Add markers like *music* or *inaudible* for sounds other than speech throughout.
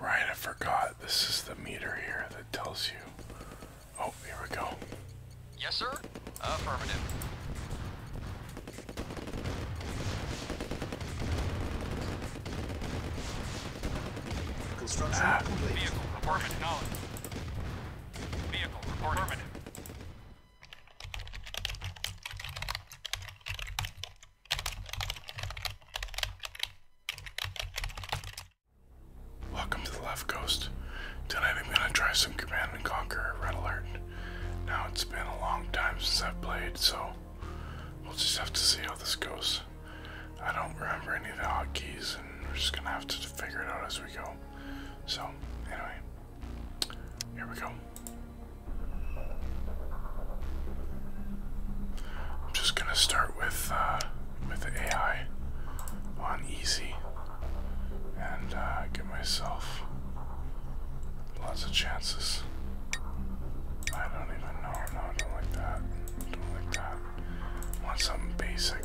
Right, I forgot. This is the meter here that tells you. Oh, here we go. Yes, sir. Affirmative. Construction ah. complete. Vehicle report acknowledged. Vehicle affirmative. Welcome to the Left Coast. Tonight I'm gonna try some Command and Conquer Red Alert. Now it's been a long time since I've played, so we'll just have to see how this goes. I don't remember any of the hotkeys, and we're just gonna have to figure it out as we go. So, anyway, here we go. I'm just gonna start with uh, with the AI on easy and uh, give myself lots of chances. I don't even know. No, I don't like that. I don't like that. I want something basic.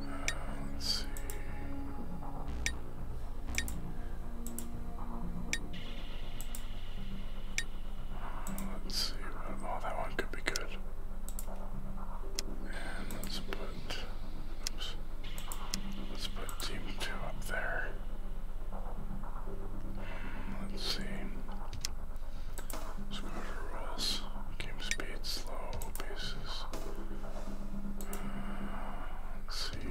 Uh, let's see. Let's see. oh, that one could be good. And let's put. Let's put team two up there. Um, let's see. Score rules. Game speed, slow pieces. Uh, let no.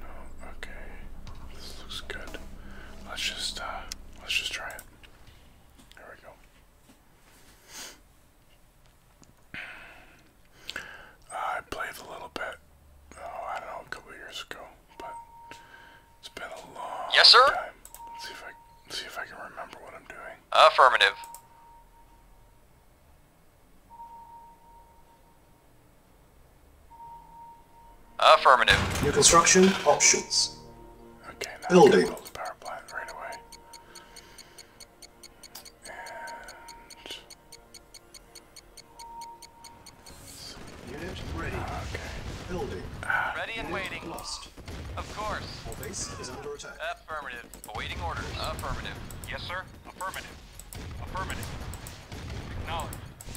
No. Okay. This looks good. Let's just uh, let's just try it. There we go. I played a little bit. Oh, I don't know, a couple years ago, but it's been a long yes, sir? Let's see if I let's see if I can remember what I'm doing. Affirmative. Affirmative. New construction options. Okay, now Building. build the power plant right away. And... Unit ready. Ah, okay. Building. Ah. Ready and Unit waiting. Lost. Of course. Our base is under attack. Affirmative. Affirmative. Awaiting orders. Affirmative. Yes, sir. Affirmative. Affirmative. Acknowledge.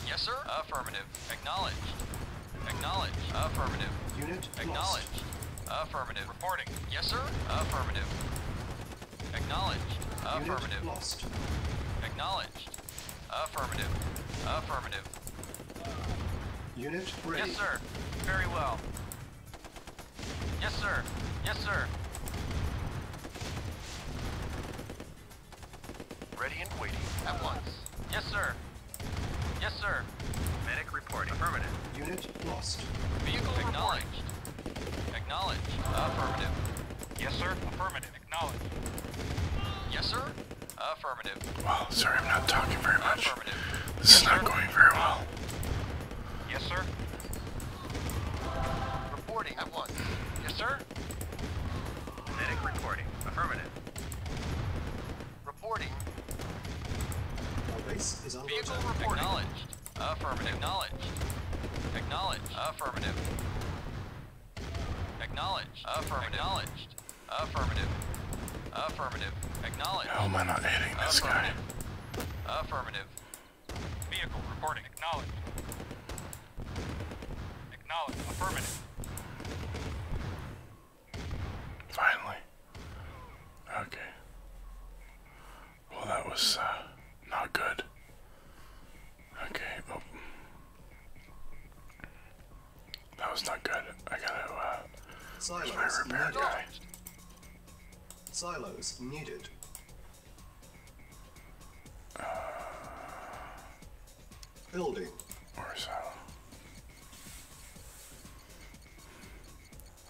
Yes, sir. Affirmative. Acknowledge. Acknowledge. Affirmative. Unit Acknowledge. Lost. Affirmative. Reporting. Yes, sir. Affirmative. Acknowledged. Affirmative. Unit lost. Acknowledged. Affirmative. Affirmative. Unit ready. Yes, sir. Very well. Yes, sir. Yes, sir. Ready and waiting. At once. Yes, sir. Yes, sir. Medic reporting. Affirmative. Unit lost. Vehicle Acknowledged. Reporting. Acknowledged. Affirmative. Yes, sir. Affirmative. Acknowledged. Yes, sir. Affirmative. Wow, sorry I'm not talking very much. Affirmative. This yes, is not sir. going very well. Yes, sir. Reporting at once. Yes, sir? Medic reporting. Affirmative. Reporting. base is on Vehicle reporting. Acknowledged. Acknowledged. Acknowledged. Affirmative. Acknowledged. Affirmative. Acknowledged. Affirmative. Affirmative. Acknowledged. How am I not hitting this guy? Affirmative. Vehicle reporting. Acknowledged. Acknowledged. Affirmative. Finally. Okay. Well, that was uh, not good. Okay. Oh. That was not good. I gotta. Uh, Silence. my repair guy? Silos needed. Building. Or silo.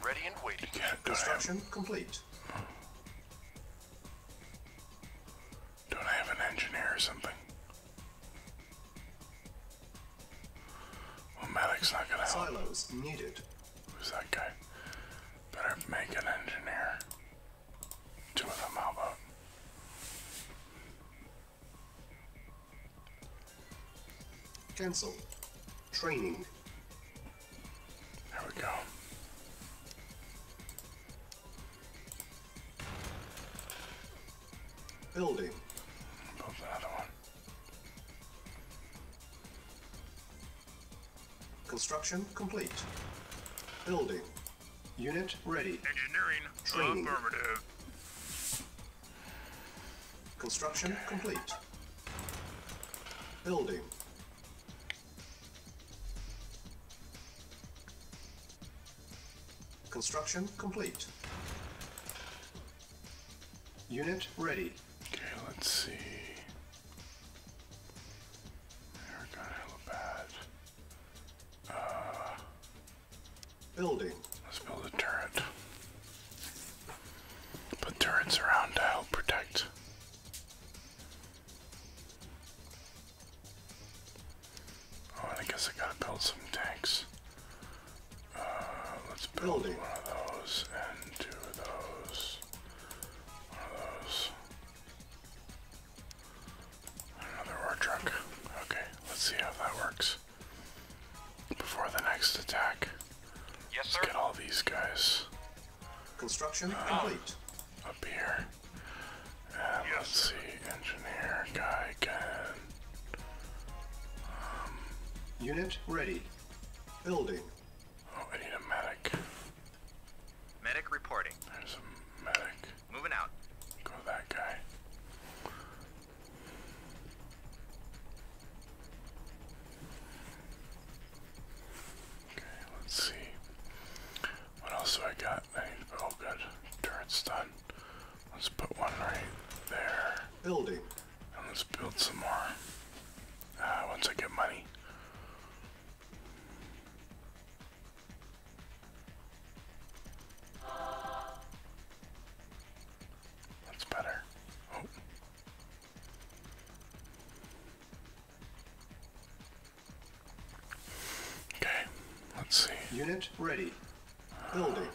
Ready and waiting. Construction complete. Don't I have an engineer or something? Well, Malik's not gonna help. Silos needed. Who's that guy? Better make an engineer. Two of them, how Cancel. Training. There we go. Building. another one. Construction complete. Building. Unit ready. Engineering Training. affirmative. Construction complete. Building. Construction complete. Unit ready. Okay, let's see. we got helipad. Uh, Building. Let's build a turret. Put turrets around to help protect. Oh, I guess I gotta build some tanks. Uh, let's build one of those and two of those. Another war truck. Okay, let's see how that works. Before the next attack. get all these guys. Construction uh, complete. Up here. let's see, engineer guy can. Unit ready. Building. Oh, I need a medic. Medic reporting. There's a medic. Moving out. Go that guy. Okay, let's see. What else do I got? I need to, oh, good. Turret's done. Let's put one right there. Building. let's build some more. Uh, once I get money. That's better. Oh. Okay, let's see. Unit ready. Building.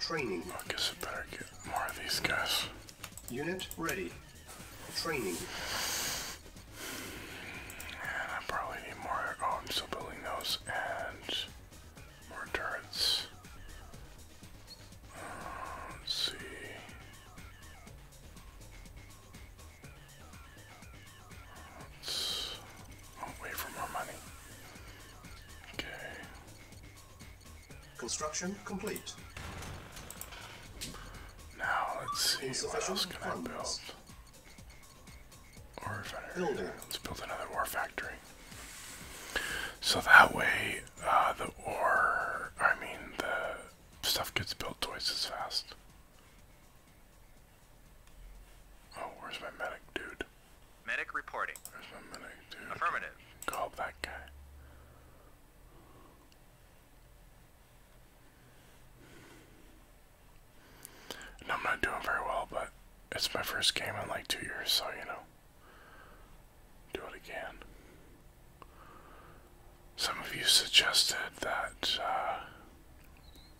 Training. I guess I better get more of these guys. Unit ready. Training. And I probably need more. Oh, I'm still building those. And more turrets. Uh, let's see. Let's wait for more money. Okay. Construction complete. Now let's see what else can I build. Building. Let's build another ore factory. So that way, uh, the ore, I mean, the stuff gets built twice as fast. Oh, where's my medic, dude? Medic reporting. Where's my medic, dude? Affirmative. Call that guy. And I'm not doing very well, but it's my first game in like two years, so you know. Do it again. Some of you suggested that uh,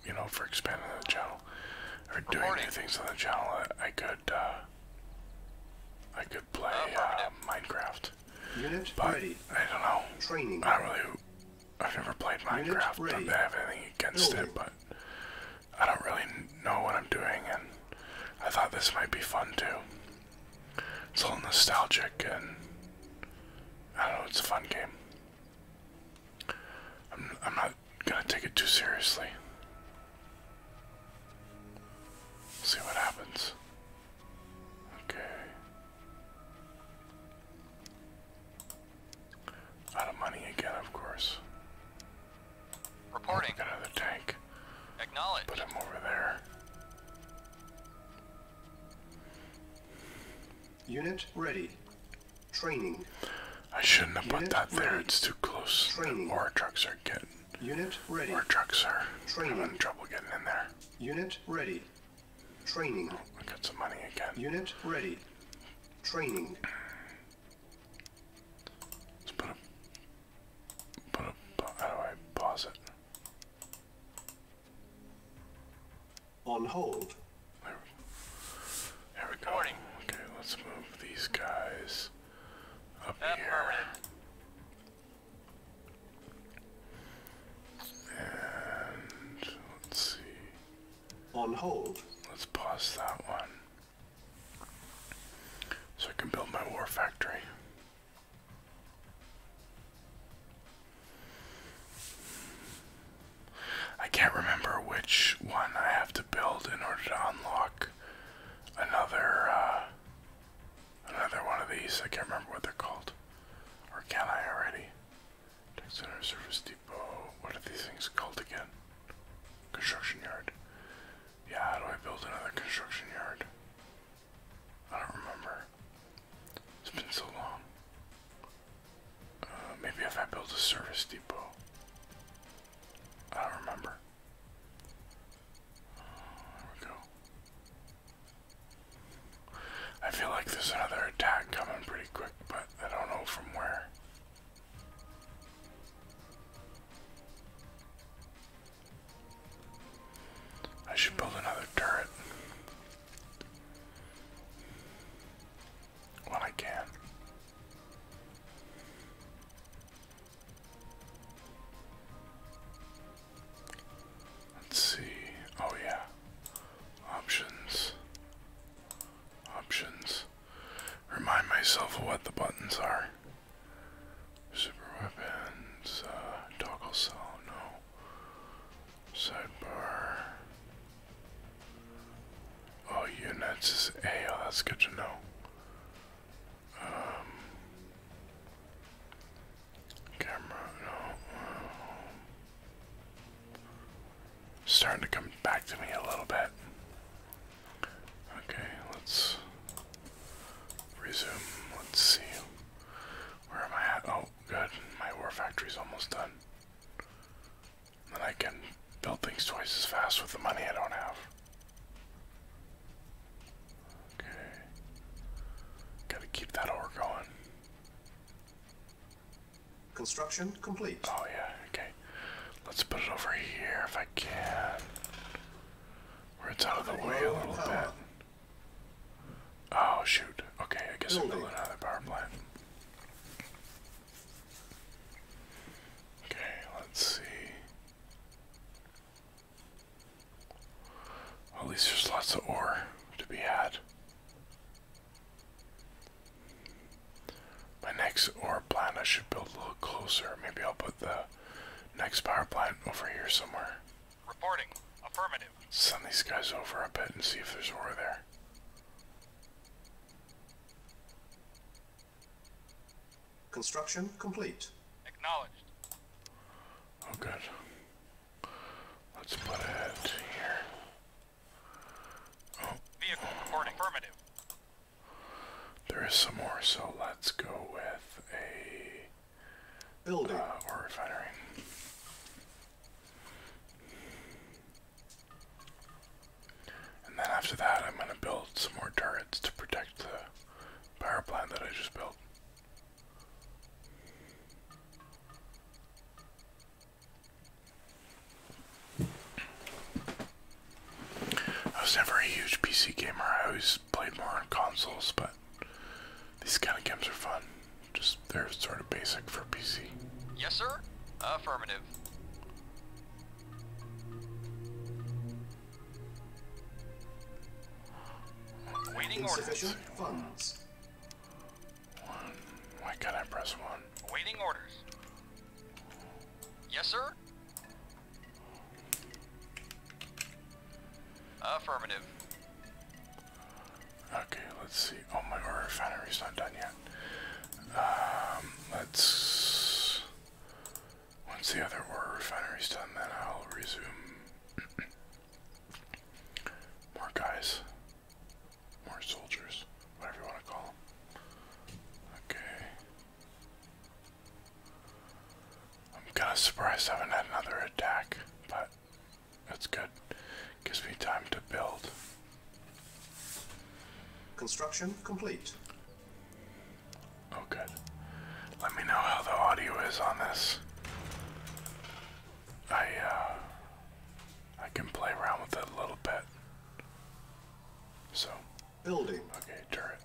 you know, for expanding the channel or doing new things on the channel, I, could, uh, I could play uh, uh, Minecraft. but I don't know. I really. I've never played Minecraft. do Not have anything against it, but I don't really know what I'm doing, and I thought this might be fun too. It's a little nostalgic, and I don't know. It's a fun game. I'm, I'm not not gonna take it too seriously. See what happens. Okay. Out of money again, of course. Reporting. Got another tank. Acknowledge. Put him over there. Unit ready. Training. I shouldn't have put that there. It's too close. Training. Our trucks are getting. Unit ready. Our trucks are Training. having trouble getting in there. Unit ready. Training. Oh, I got some money again. Unit ready. Training. Let's put a. Put a. How do I pause it? On hold. There we, go. Okay, let's move these guys up here. And let's see. On hold. Let's pause that one. So I can build my war factory. I can't remember which one I have to build in order to unlock another uh, another one of these. I can't remember what they're called. Or can I already? Tech Service Depot. What are these things called again? Construction yard. Yeah, how do I build another construction yard? I don't remember. It's been so long. Uh, maybe if I build a service depot. I don't remember. Uh, go. I feel like there's another attack coming pretty quick, but I don't know from where. I should build another turret when I can. Let's see. Oh, yeah. Options. Options. Remind myself what the buttons are. Super weapons, uh, toggle cell, no. Sidebar. Oh, units is A. Oh, that's good to know. Um, camera, no. Um, starting to come back to me a little bit. Okay, let's resume. Let's see. Where am I at? Oh, good. My war factory's almost done. Then I can build things twice as fast with the money I don't have. Okay. Gotta keep that ore going. Construction complete. Oh, yeah, okay. Let's put it over here if I can. Where it's out of the way a little bit. Oh, shoot. Okay, I guess I'll am build another power plant. Okay, let's see. at least there's lots of ore to be had. My next ore plant, I should build a little closer. Maybe I'll put the next power plant over here somewhere. Reporting. Affirmative. Send these guys over a bit and see if there's ore there. Construction complete. Acknowledged. Oh, good. Let's put it here. Oh. There is some more, so let's go with a building uh, or refinery. And then after that, I'm going to build some more turrets to protect the power plant that I just built. I was never a huge PC gamer, I always played more on consoles, but these kind of games are fun. Just, they're sort of basic for PC. Yes, sir? Affirmative. Waiting Insufficient funds. One. Why can't I press one? Waiting orders. Yes, sir? Affirmative. Okay, let's see. Oh, my ore refinery's not done yet. Um, let's. Once the other ore refinery's done, then I'll resume. *clears throat* More guys. More soldiers. Whatever you want to call them. Okay. I'm kind of surprised I haven't had another attack, but that's good. Gives me time to build. Construction complete. Oh, good. Let me know how the audio is on this. I, uh, I can play around with it a little bit. So. Building. Okay, turret.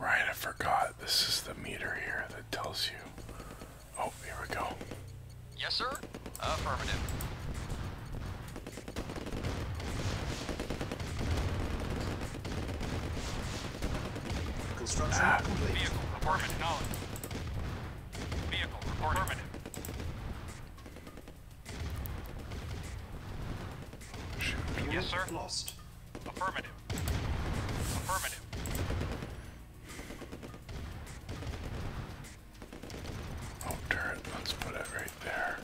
Right, I forgot. This is the meter here that tells you. Oh, here we go. Yes, sir. Affirmative. Construction ah. complete. Vehicle, affirmative. Knowledge. Vehicle, affirmative. Yes, sir. Affirmative. Affirmative. Oh, turret. Let's put it right there.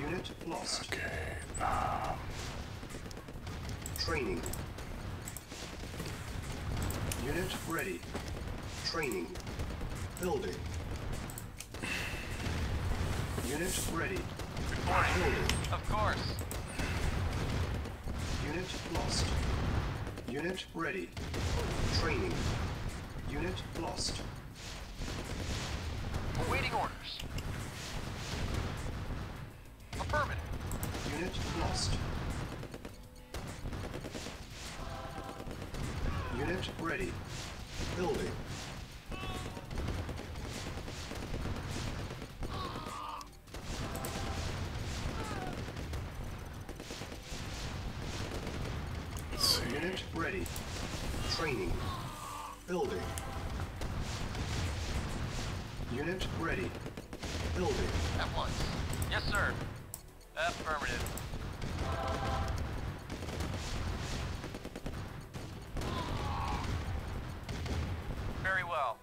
Unit lost. Okay. Um, Training. Unit ready ready. Training. Building. Unit ready. Reporting. Building. Of course. Unit lost. Unit ready. Training. Unit lost. Awaiting orders. Affirmative. Unit lost. Unit ready. Building. Unit ready. Training. Building. Unit ready. Building. At once. Yes, sir. Affirmative. Very well.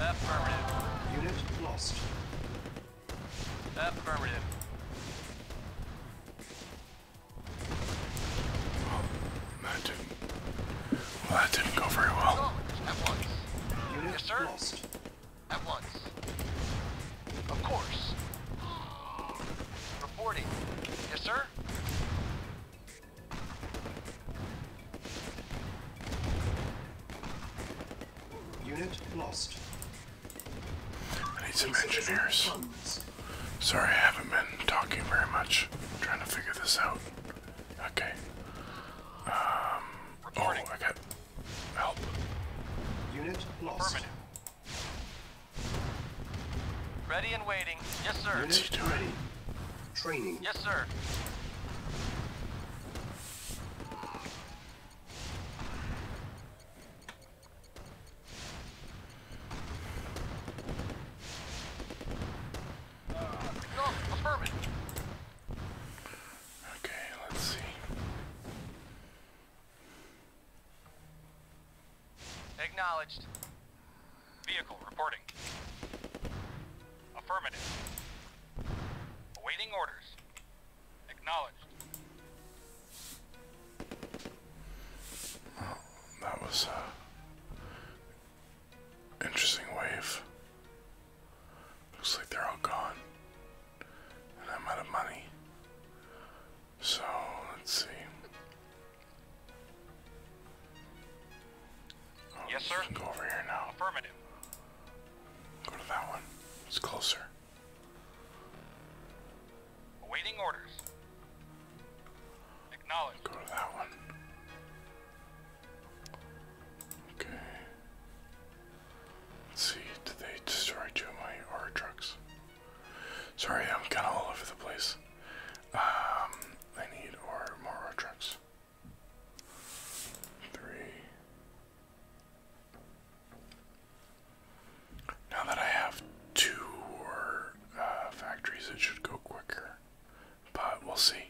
Affirmative. Unit lost. Affirmative. Well, that didn't go very well. Unit lost. At once. Of course. Reporting. Yes, sir? Unit lost. I need some engineers. Sorry, I haven't been talking very much. trying to figure this out. Okay. Um. Oh, Help. Unit lost. Affirmative. Ready and waiting. Yes, sir. Unit ready. Training. Yes, sir. Uh, Okay, let's see. Acknowledged. Vehicle reporting. Affirmative. Awaiting orders. Acknowledged. Oh, that was interesting wave. Looks like they're all gone. So let's see. yes, sir. Affirmative. Go to that one. It's closer. Awaiting orders. Acknowledged. Go to that one. Okay. Let's see, did they destroy two of my aura trucks? Sorry, I'm kinda all over the place. Um I need more aura trucks. Three. Now that I have two war uh, factories, it should go quicker. But we'll see.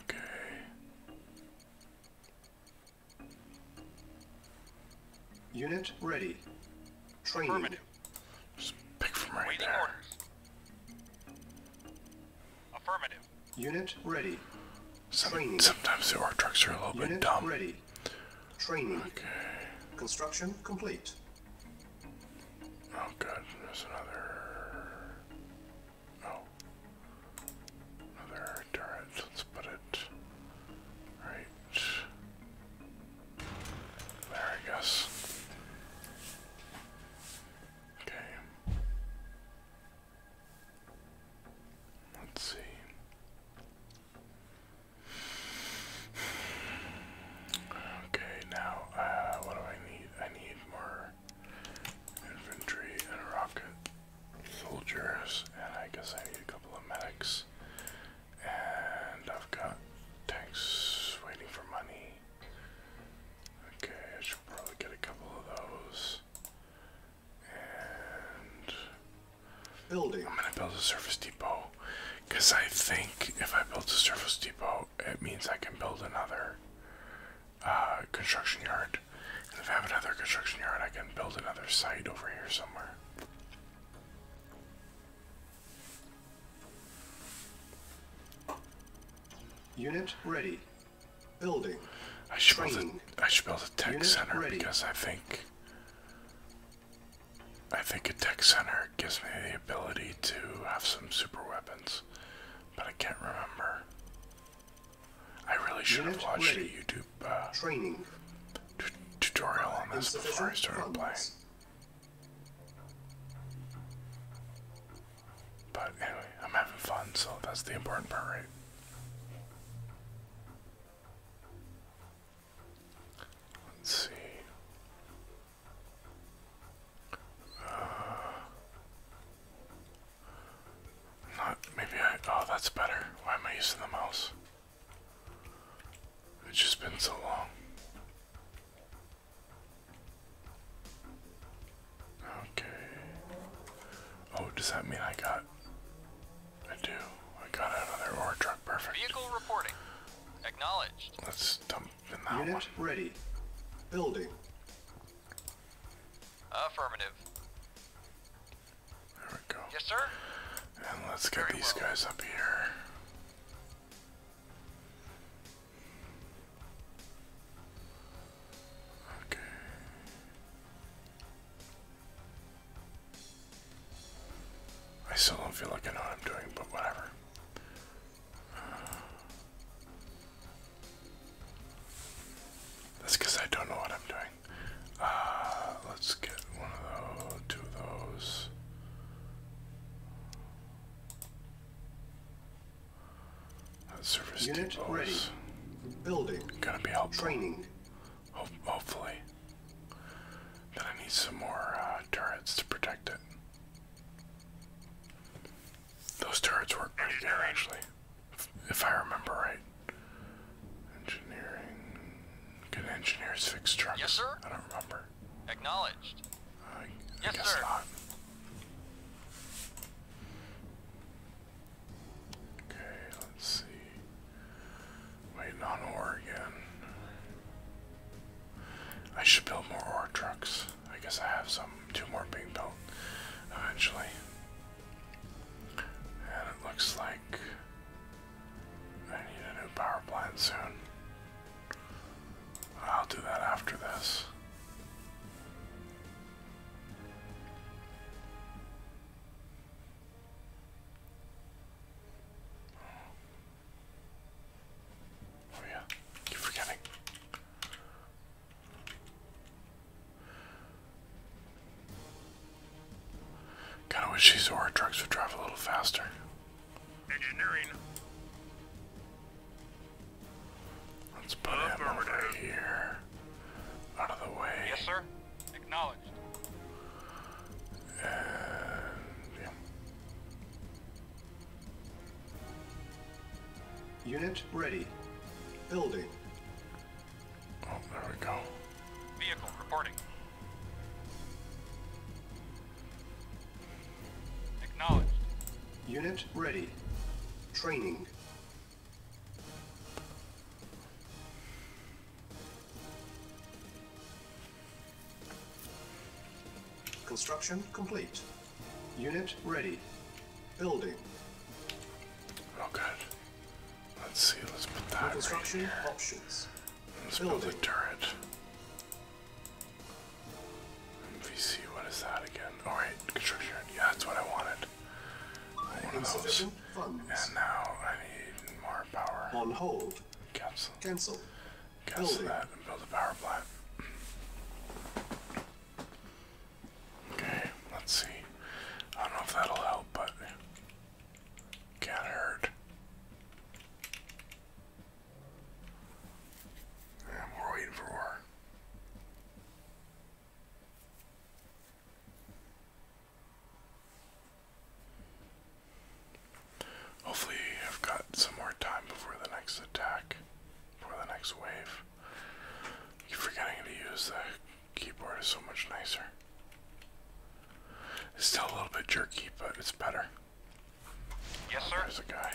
Okay. Unit ready. Training. Affirmative. Waiting orders. Affirmative. Unit ready. Training. Sometimes the ore trucks are a little bit dumb. ready. Training. Okay. Construction complete. Oh good, there's another... Oh. Another turret. Let's put it right there, I guess. Okay. Let's see. Okay, now uh, what do I need? I need more infantry and a soldiers, and I guess I need a couple of medics. And I've got tanks waiting for money. Okay, I should probably get a couple of those. And building. I'm gonna build a surface depot. Cause I think if I build a surface depot, it means I can build another. Uh, construction yard. And if I have another construction yard, I can build another site over here somewhere. Unit ready. Building. I should, build a, I should build a tech center because I think I think a tech center gives me the ability to have some super weapons, but I can't remember. I really should have watched a YouTube uh, training tutorial on this before I started playing. But anyway, I'm having fun, so that's the important part, right? Let's see. Uh, not, maybe I, oh, that's better. Why am I using the mouse? It's just been so long. Okay. Oh, does that mean I got, I do, I got another ore truck, perfect. Vehicle reporting. Acknowledged. Let's dump in that Unit one. ready. Building. Affirmative. There we go. Yes, sir. And let's get these guys up here. Okay. I still don't feel like I know what I'm doing, but whatever. that's because I don't know what I'm doing. Uh, let's get one of those, two of those. Uh, service Building. Gonna be helpful. Training. hopefully. Then I need some more uh, turrets to protect it. Those turrets work pretty good, actually if I remember right. Engineering. Good engineers fix trucks? Yes, sir. I don't remember. Acknowledged. I, yes, guess sir. not. Okay, let's see. Waiting on ore again. I should build more ore trucks. I guess I have some, two more being built eventually. And it looks like I need a new power plant soon. I'll do that after this. Oh yeah, keep forgetting. Kinda wish these ore trucks would drive a little faster. Engineering. Let's put him over here. Out of the way. Yes, sir. Acknowledged. Unit ready. Building. Oh, there we go. Vehicle reporting. Acknowledged. Unit ready. Training. Construction complete. Unit ready. Building. Oh, God. Let's see, let's put that right Construction Options. Let's Building. build a turret. see. what is that again? All oh, right, construction. Yeah, that's what I wanted. One of those. And now I need more power. On hold. Cancel. Cancel. Cancel that and build a power plant. Okay, let's see. I don't know if that'll help, but can't hurt. And we're waiting for Hopefully, I've got some more time before the next attack, before the next wave. I forgetting to use the Keyboard is so much nicer. It's still a little bit jerky, but it's better. Yes, sir. There's a guy.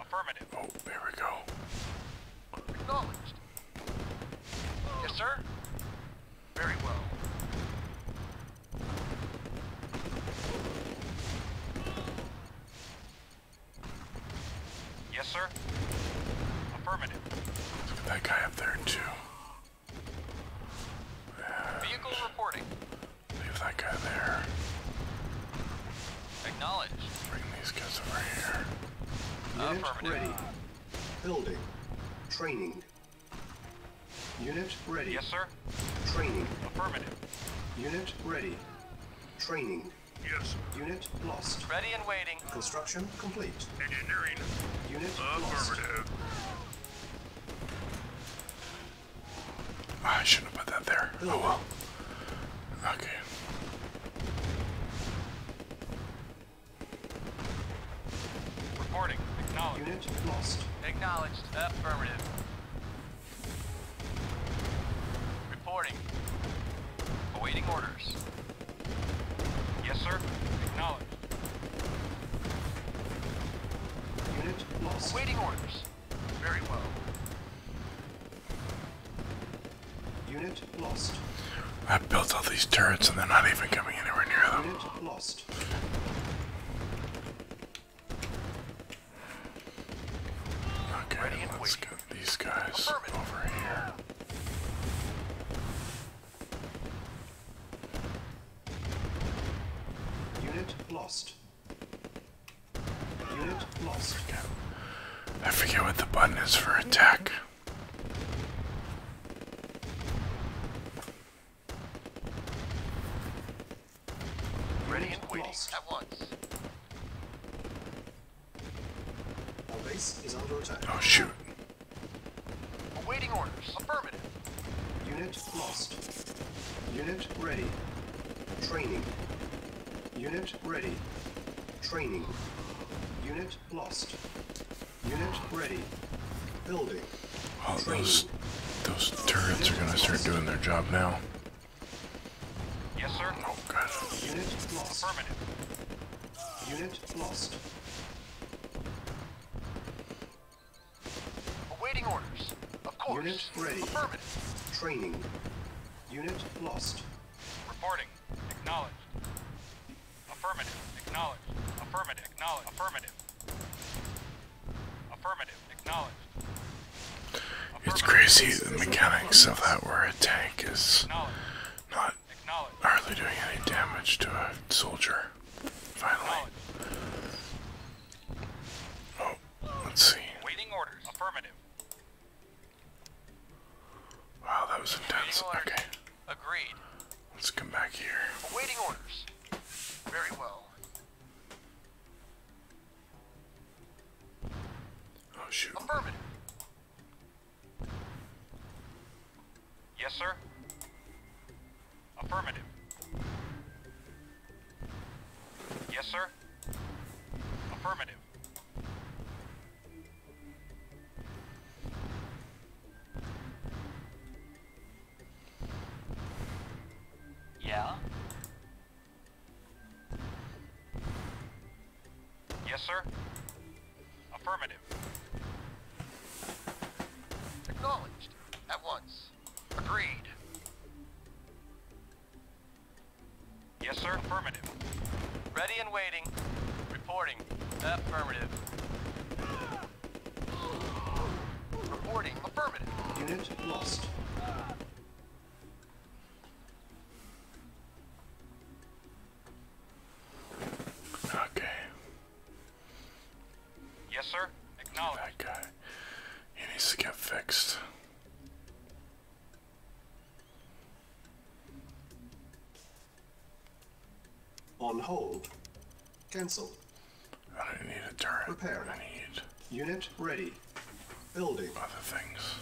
Affirmative. Oh, there we go. Yes, sir. Very well. Yes, sir. Affirmative. Look at that guy up there, too. Vehicle reporting. Leave that guy there. Acknowledged. Bring these guys over here. Unit ready. Building. Training. Unit ready. Yes, sir. Training. Affirmative. Unit ready. Training. Yes. Unit lost. Ready and waiting. Construction complete. Engineering. Unit Lost. I should have put that there. Oh well. Okay. Reporting. Acknowledged. Unit lost. Acknowledged. Affirmative. Reporting. Awaiting orders. Yes, sir. Acknowledged. Unit lost. Awaiting orders. Very well. Unit lost. I built all these turrets and they're not even coming anywhere near them. Unit lost. Okay, let's get these guys over here. Unit lost. Unit lost. I forget what the button is for attack. Ready and waiting at once. Our base is under attack. Oh shoot. Awaiting orders. Affirmative. Unit lost. Unit ready. Training. Unit ready. Training. Unit lost. Unit ready. Building. Oh, those those turrets are gonna start doing their job now. Yes, sir. Oh god. Unit lost. Affirmative. Unit lost. Awaiting orders. Unit ready. Training. Unit lost. Reporting. Acknowledged. Affirmative. Acknowledged. Affirmative. Acknowledged. Affirmative. Acknowledged. It's crazy the mechanics of that where tank is not are they doing any damage to a soldier. Finally. Oh, let's see. Waiting orders. Affirmative. Wow, that was intense. Okay. Agreed. Let's come back here. Awaiting orders. Very well. Oh shoot. Affirmative. Yes, sir. Affirmative. Yes, sir. Affirmative. Yeah? Yes, sir. Affirmative. Acknowledged. At once. Agreed. Yes, sir. Affirmative. Ready and waiting. Reporting. Affirmative. Reporting. Affirmative. Unit lost. Okay. Yes, sir. Acknowledge. That guy. He needs to get fixed. On hold. Cancel. I don't need a turret. I need. Unit ready. Building. Other things.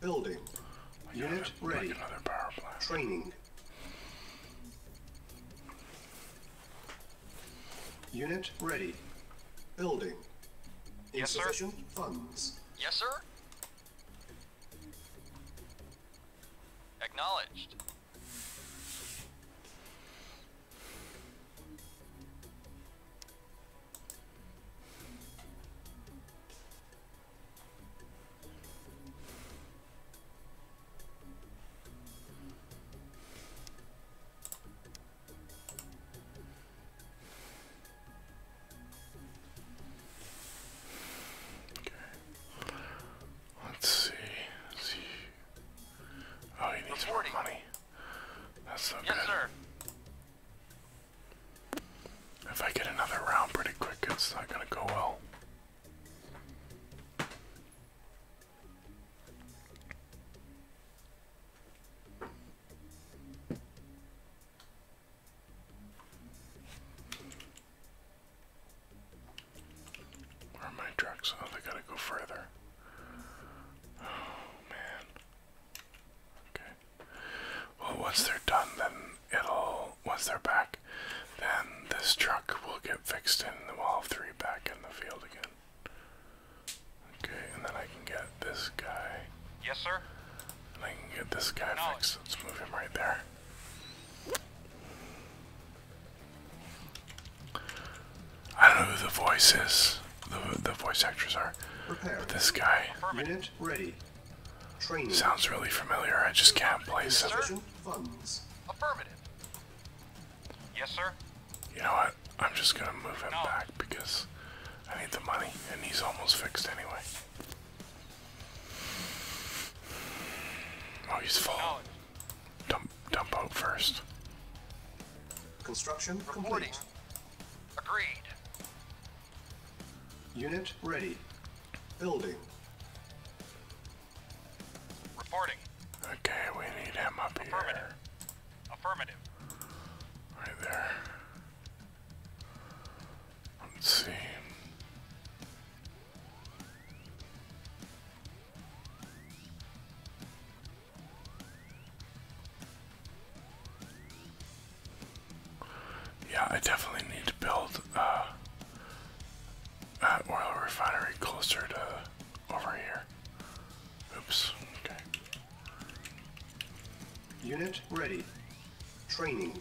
Building. Unit ready. Training. Unit ready. Building. Insufficient funds. Yes, sir. Acknowledged. Okay. Let's see. Let's see. Oh, he needs Reporting. more money. That's so yes, Yes, sir. If I get another round pretty quick, it's not going to go well. Where are my trucks? Oh, they gotta go further. Oh man. Okay. Well, once they're done, then it'll. Once they're back, then this truck will get fixed and the will have three back in the field again. Okay, and then I can get this guy. Yes, sir. And I can get this guy fixed. Let's move him right there. I don't know who the voice is, the, the voice actors are, but this guy ready. Sounds really familiar. I just can't place it. Affirmative. Yes, sir. You know what? I'm just gonna move him back because I need the money, and he's almost fixed anyway. Oh, he's full. Knowledge. Dump, dump out first. Construction complete. Agreed. Unit ready. Building. Reporting. Okay, we need him up Affirmative. Affirmative. Right there. Let's see. Yeah, I definitely need to build uh, a oil refinery closer to over here. Oops, okay. Unit ready. Training.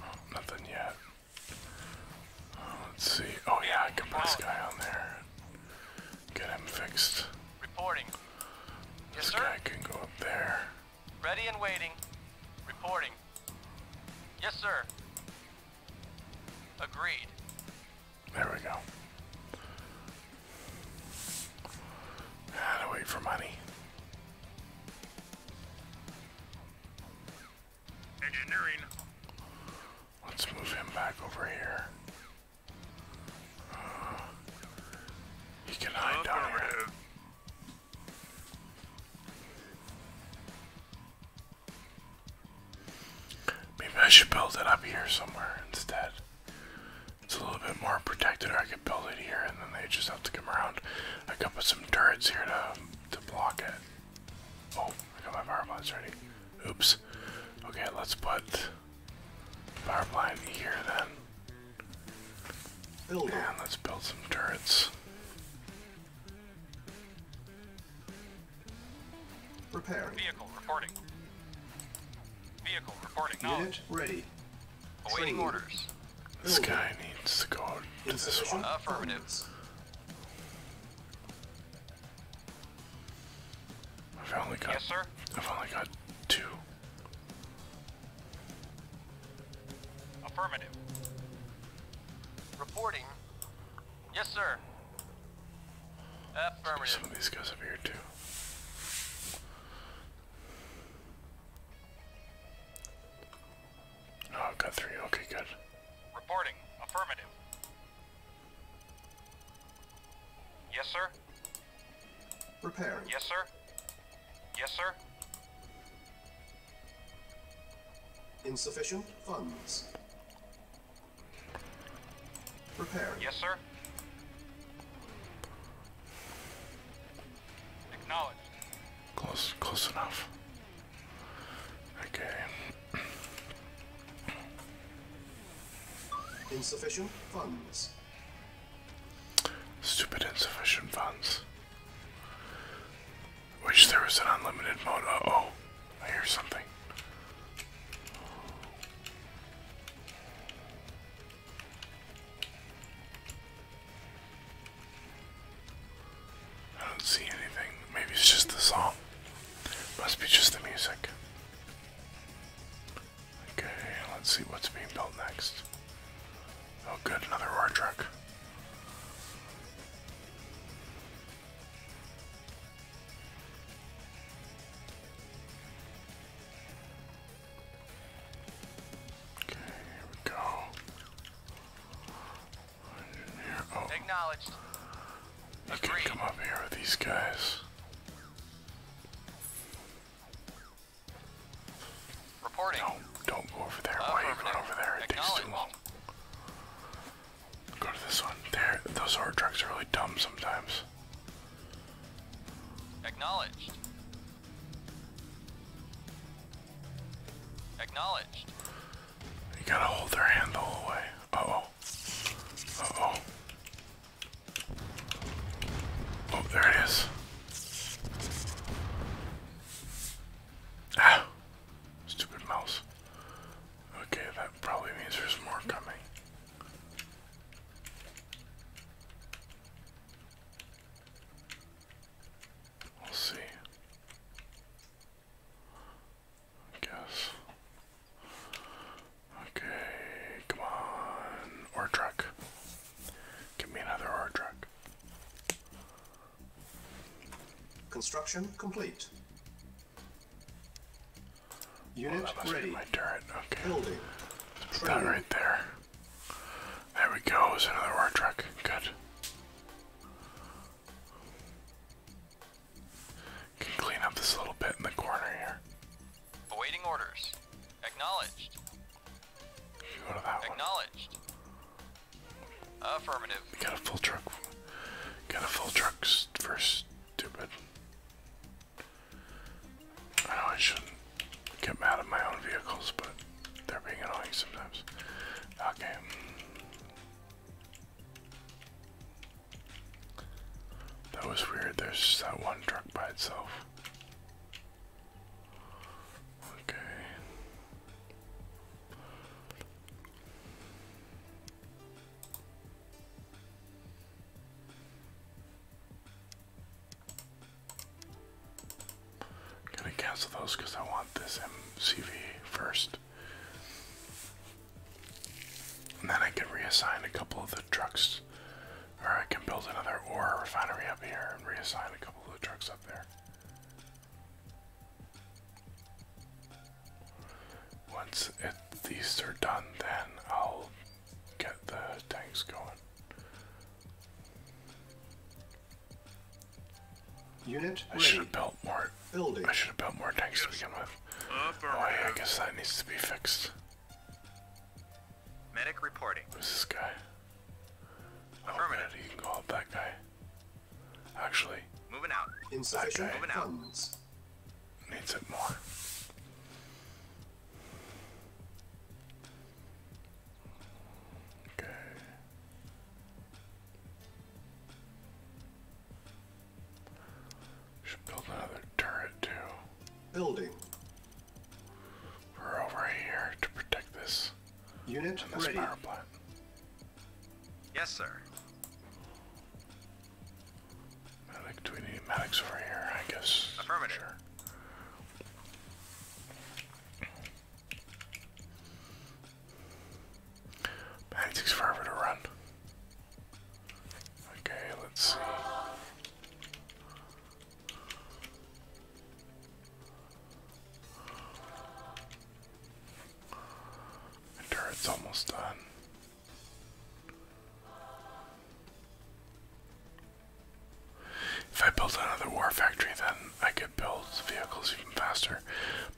Oh, nothing yet. Uh, let's see. Oh yeah, I can put this guy on there. Get him fixed. Reporting. yes, sir. guy can go up there. Ready and waiting. Reporting. Yes, sir. Agreed. There we go. How to wait for money. Engineering. Let's move him back over here. he can hide down here. Maybe I should build it up here somewhere instead. It's a little bit more protected, I could build it here, and then they just have to come around. I could put some turrets here to to block it. Oh, I got my power plants ready. Oops. Okay, let's put power plant here then. Build. And let's build some turrets. Repair. Vehicle reporting. Vehicle reporting knowledge. Unit ready. Awaiting orders. This guy needs to go to this one. Affirmative. I've only got. Yes, sir. I've only got two. Affirmative. Reporting. Yes, sir. Some of these guys over here too. Oh, i got three. Okay, good. Reporting. Affirmative. Yes, sir. Repairing. Yes, sir. Yes, sir. Insufficient funds. Repaired. Yes, sir. Acknowledged. Close, close enough. Okay. Insufficient funds. Stupid insufficient funds. Wish there was an unlimited mode. Uh oh. I hear something. I don't see anything. Maybe it's just the song. Must be just the music. Okay, let's see what's being built next. Oh, good, another war truck. Okay, here we go. Acknowledged. You Agreed. can come up here with these guys. Reporting. No, don't go over there. Uh, Why even over there? It takes too long. Go to this one. those hard trucks are really dumb sometimes. Acknowledged. Acknowledged. You gotta hold their handle away. Uh oh. oh. Oh, there it is. Ah, stupid mouse. Okay, that probably means there's more coming. We'll see. I guess. Okay, come on. Ore truck. Give me another ore truck. Construction complete. Unit oh, that My turret. Okay. that right there. There we go. It's another war truck. Good. Can clean up this little bit in the corner here. Awaiting orders. Acknowledged. Acknowledged. Affirmative. We got a full truck. Got a full truck first. Stupid. I know I shouldn't get mad at my own vehicles, but they're being annoying sometimes. Okay. That was weird. There's just that one truck by itself. Okay. I'm gonna cancel those because I want this MCV first. And then I can reassign a couple of the trucks. Or I can build another ore refinery up here and reassign a couple of the trucks up there. Once these are done, then I'll get the tanks going. Unit I should have built more. Building. I should have built more tanks to begin with. oh I guess that needs to be fixed. Medic reporting. Who's this guy? Affirmative. Oh, man, that guy. Actually. Moving out. Inside. funds needs it more. Okay. Should build another turret too. Building. We're over here to protect this unit. This power plant. Yes, sir. Medic, do we need Maddox over here? I guess. Affirmative. Sure. takes forever to run. Okay, let's see. The turret's almost done. If I build another war factory, then I could build vehicles even faster.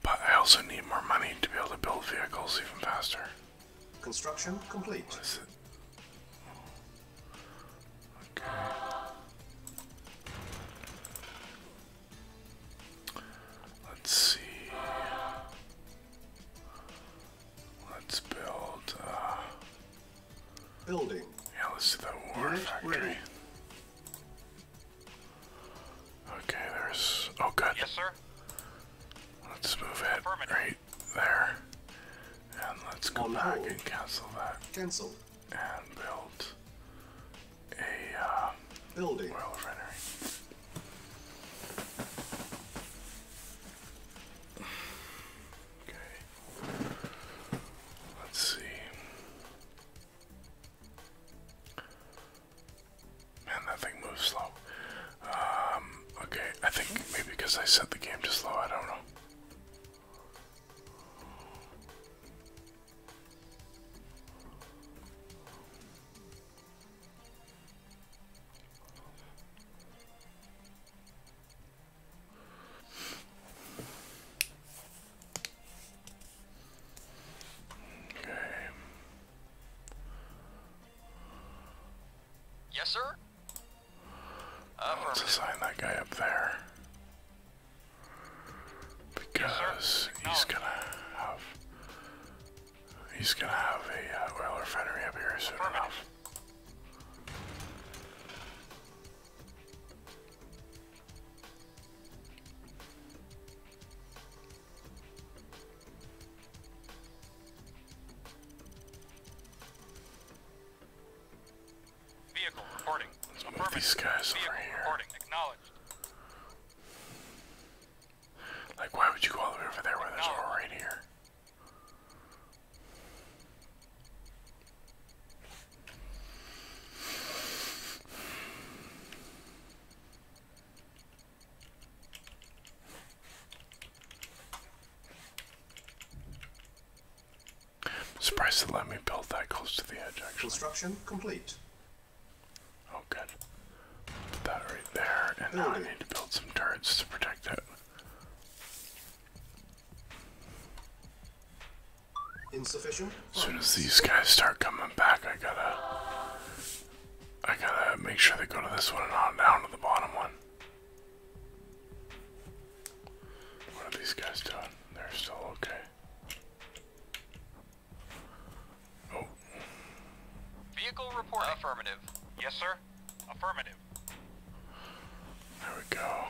But I also need more money to be able to build vehicles even faster. Construction complete. Okay. Let's see. Let's build. Uh, Building. Yeah, let's do that war factory. Okay, there's. Oh, good. Yes, sir. Let's move it right there. And let's go back and cancel that. Cancel. And build a uh, building. Okay. Let's see. Man, that thing moves slow. Um, okay, I think maybe because I set the game to slow, I don't know. Okay. Yes, sir. Let's assign that guy up there. Because he's gonna have he's gonna have a oil uh, refinery up here soon enough these guys Vehicle over here. Like, why would you go all the way over there where there's more right here? Surprised to let me build that close to the edge, actually. Construction complete. Oh, good. that right there, and now I need to build some turrets to protect it. Insufficient. As soon as these guys start coming back, I gotta, I gotta make sure they go to this one and on down to the bottom one. What are these guys doing? They're still okay. Oh. Vehicle report affirmative. Yes, sir. Affirmative. There we go.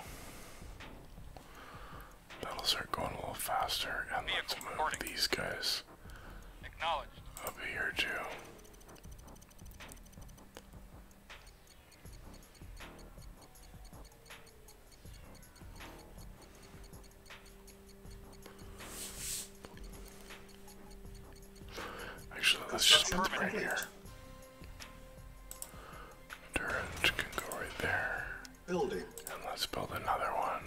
That'll start going a little faster, and Vehicle move these guys up here too. Actually, let's just put them right here. Turret can go right there. Building. And let's build another one.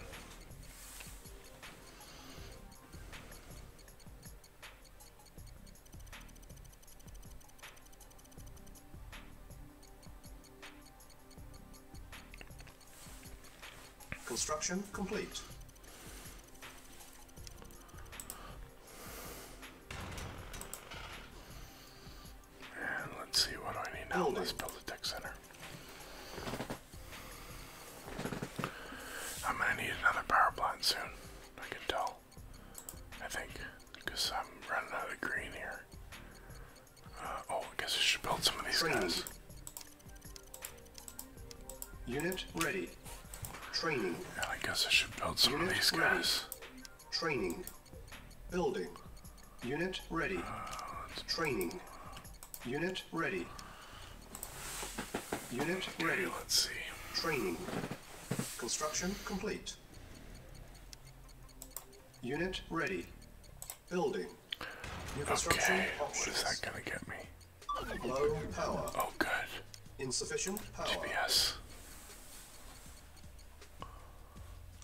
Construction complete. And let's see what do I need now. Let's build a tech center. I'm gonna need another power plant soon. I can tell. I think. Because I'm running out of green here. Uh, oh, I guess I should build some of these Trained. guys. Unit ready. Training. Yeah, I guess I should build some of these guys. Training. Building. Unit ready. Uh, Training. Unit ready. Unit ready. Let's see. Training. Construction complete. Unit ready. Building. New okay, what is that gonna get me? Oh, good. Insufficient power. Yes.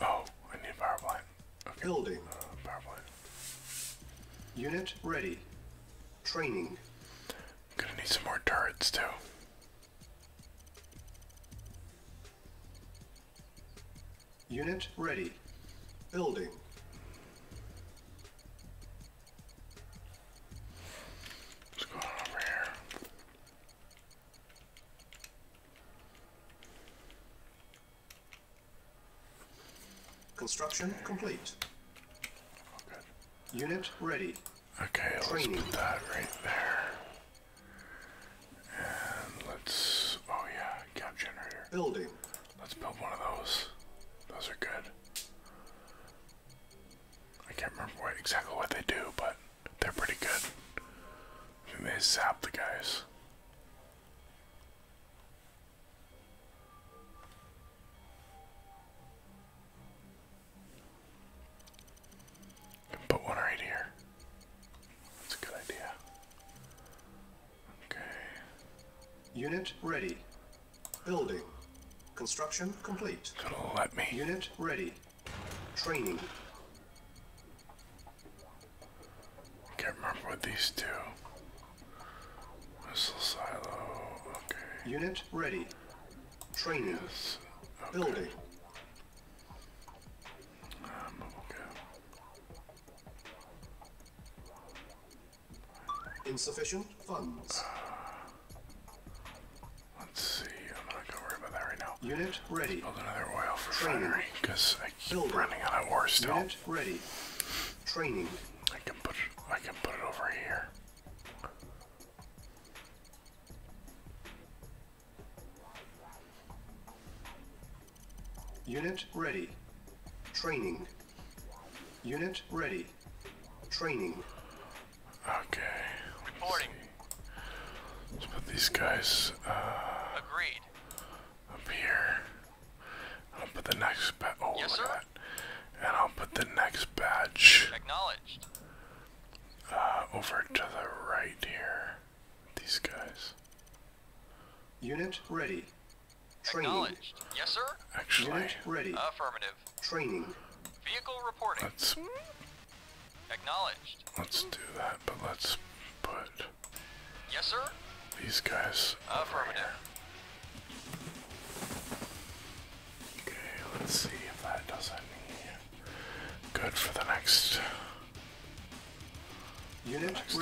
Oh, I need a power plant. Building. Uh, power plant. Unit ready. Training. Gonna need some more turrets too. Unit ready. Building. What's going on over here? Construction complete. Oh, Unit ready. Okay, let's put that right there. And let's, oh yeah, gap generator. Building. Let's build one of those. Those are good. I can't remember exactly what they do, but they're pretty good. they zap the guys. put one right here. That's a good idea. Okay. Unit ready. Building. Construction complete. Unit ready. Training. Can't remember what these do. Missile silo. Okay. Unit ready. Training. Building. Um, okay. Insufficient funds. Let's see. I'm not gonna worry about that right now. Unit ready. build another oil refinery because I keep running out of ore still. Unit ready. Training. I can put I can put it over here. Unit ready. Training. Unit ready. Training. Okay. Reporting. See. Let's put these guys uh, Agreed. up here. I'll put the next badge. Oh, yes, sir? And I'll put the next badge. Acknowledged. Uh, over to the right here. These guys. Unit ready. Training. Acknowledged. Yes, sir. Actually. Unit ready. Affirmative. Training. Vehicle reporting. Let's, Acknowledged. Let's do that, but let's put... Yes, sir? These guys Affirmative. Okay, let's see if that does any good for the next... Unit next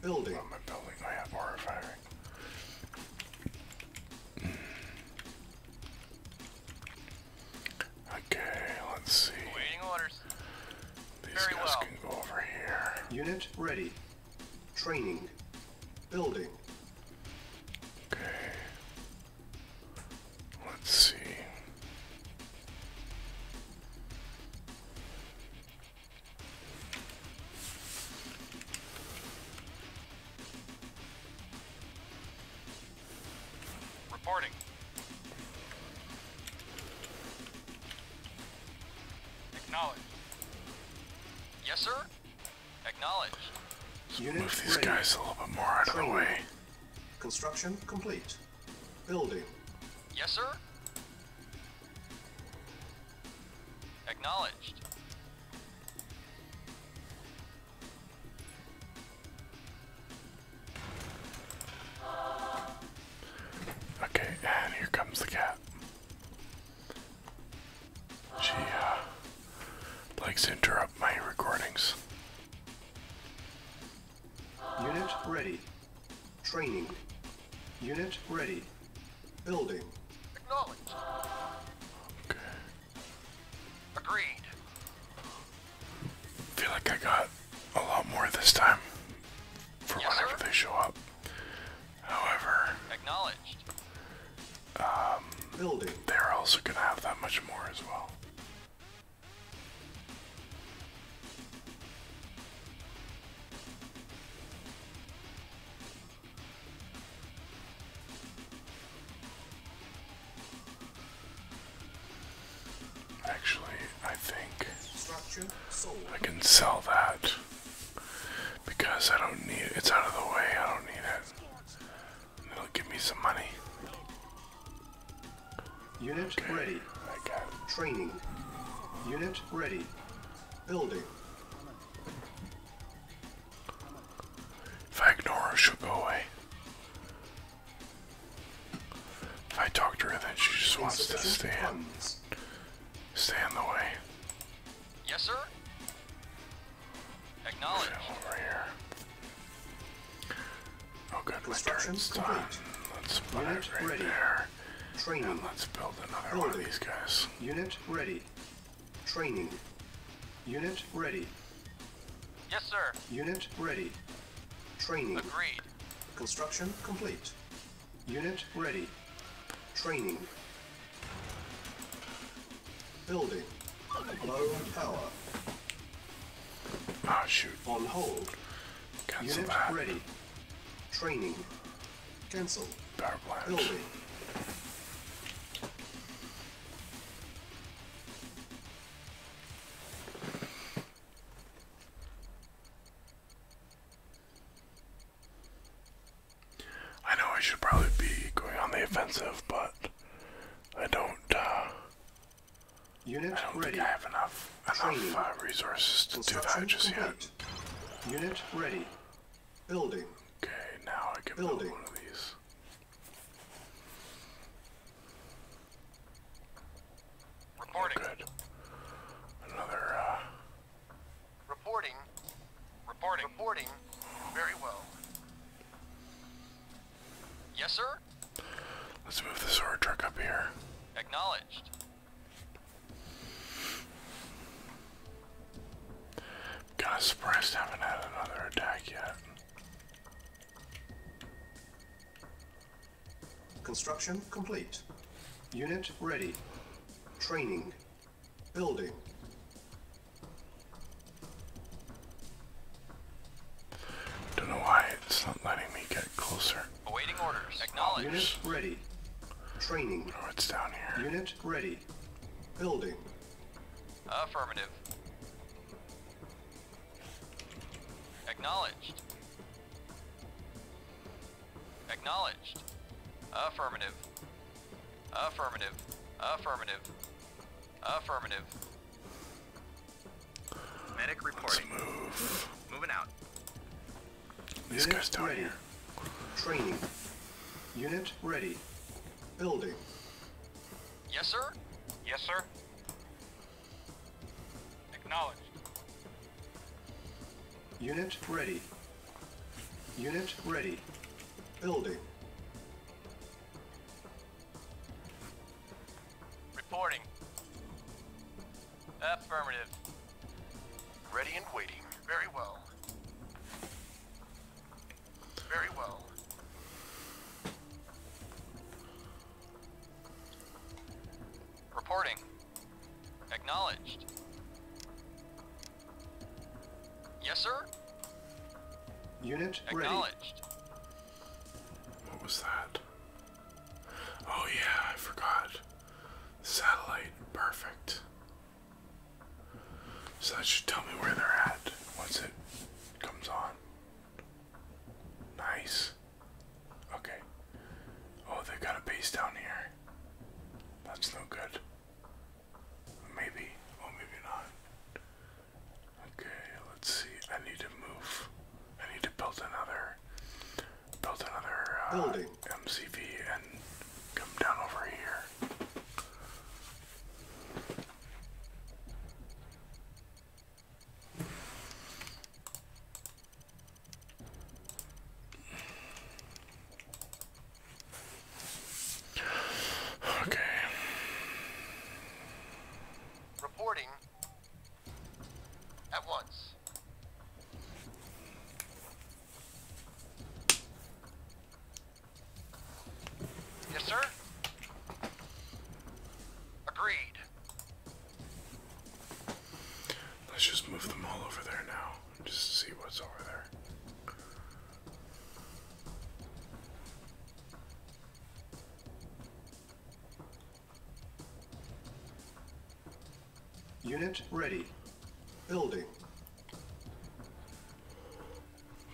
building. Okay, let's see. Waiting orders. These guys can go over here. Unit ready. Training. Building. Okay. Let's see. Reporting. Acknowledged. Yes, sir? Acknowledged. So move these guys a little bit more out of the way. Construction complete. Building. Yes, sir? Acknowledged. Okay, and here comes the cat. She uh, likes to interrupt my recordings. Unit ready. Training. Unit ready. Building. Acknowledged. Okay. Agreed. feel like I got a lot more this time for whenever they show up. However, Um, They're also gonna have that much more as well. Actually, I think I can sell that because I don't need it. It's out of the way. I don't need it. It'll give me some money. Unit ready. I got Training. Unit ready. Building. If I ignore her, she'll go away. If I talk to her, then she just wants to stand, in, the way. Yes, sir. Acknowledge. Okay, over here. Oh, good. Let's start. Let's put Unit it right ready. let's build another Building. one of these guys. Unit ready. Training. Unit ready. Yes, sir. Unit ready. Training. Agreed. Construction complete. Unit ready. Training. Building. Low power. Ah, shoot. On hold. Cancel Unit ready. Training. Cancel. Power plant. I know I should probably be going on the offensive, but I don't. Uh, I don't think I have enough enough uh, resources to do that just complete. yet. Unit ready. Building. Okay, now I can Building. build one of these. Reporting. good. Another, uh, Reporting. Reporting. Reporting. Very well. Yes, sir? Let's move the sword truck up here. Acknowledged. Kind of haven't had another attack yet. Construction complete. Unit ready. Training. Building. Don't know why it's not letting me get closer. Awaiting orders. Acknowledge. Unit ready. Training. Oh, it's down here. Unit ready. Building. Affirmative. Acknowledged. Acknowledged. Affirmative. Affirmative. Affirmative. Affirmative. Medic reporting. move. Moving out. These Unit guys down ready. here. Training. Unit ready. Building. Yes, sir? Yes, sir. Acknowledged. Unit ready. Unit ready. Building. Reporting. Affirmative. Ready and waiting. Very well. Very well. Reporting. Acknowledged. Yes, sir? Unit ready. Acknowledged. What was that? Oh yeah, I forgot. Satellite, perfect. So that should tell me where they're at. What's it? comes on. Nice. Okay. Oh, they got a base down here. That's no good. Maybe. Oh, maybe not. Okay, let's see. I need to move. I need to build another, build another uh, MCV and come down over here. Okay. Reporting at once. Yes, sir. Agreed. Let's just move them all over there now. Just see what's over there. Unit ready. Building.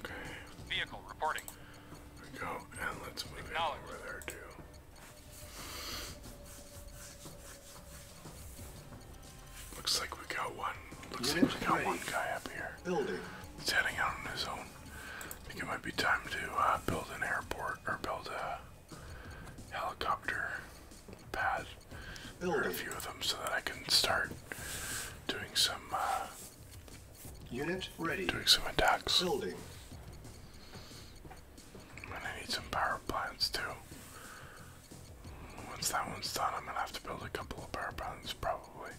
Okay. Vehicle reporting. we go, and let's move it over there too. Looks like we got one. Looks like we got one guy up here. Building. He's heading out on his own. I think it might be time to uh, build an airport or build a helicopter pad. Building. Or a few of them so that I can start doing some uh, Unit ready. Doing some attacks. Building. I'm gonna need some power plants too. Once that one's done, I'm gonna have to build a couple of power plants probably.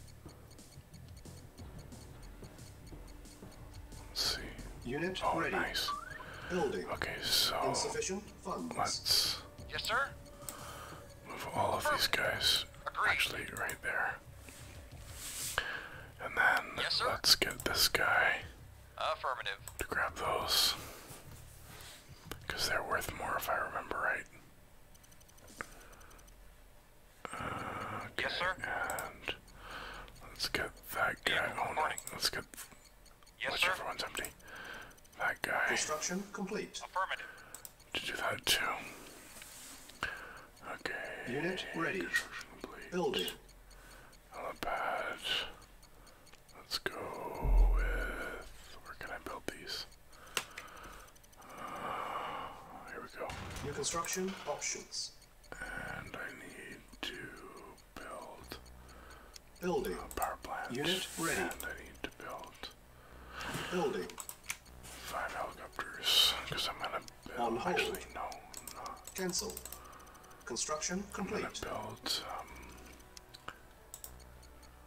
see. Unit oh, ready. nice. Building. Okay, so insufficient funds. let Yes, sir. Move all of these guys. Actually, right there. And then let's get this guy Affirmative. to grab those. Because they're worth more if I remember right. Uh, okay. And let's get that guy. Yeah, oh let's get. whichever one's empty. That guy. Construction complete. Affirmative to do that too. Okay. Unit ready. Building. Helipads. Let's go with. Where can I build these? Uh, here we go. construction options. And I need to build. Building. power plant. Unit ready. And I need to build Building. Five helicopters. I'm Actually, no, Cancel. Construction complete. I'm gonna build. Um,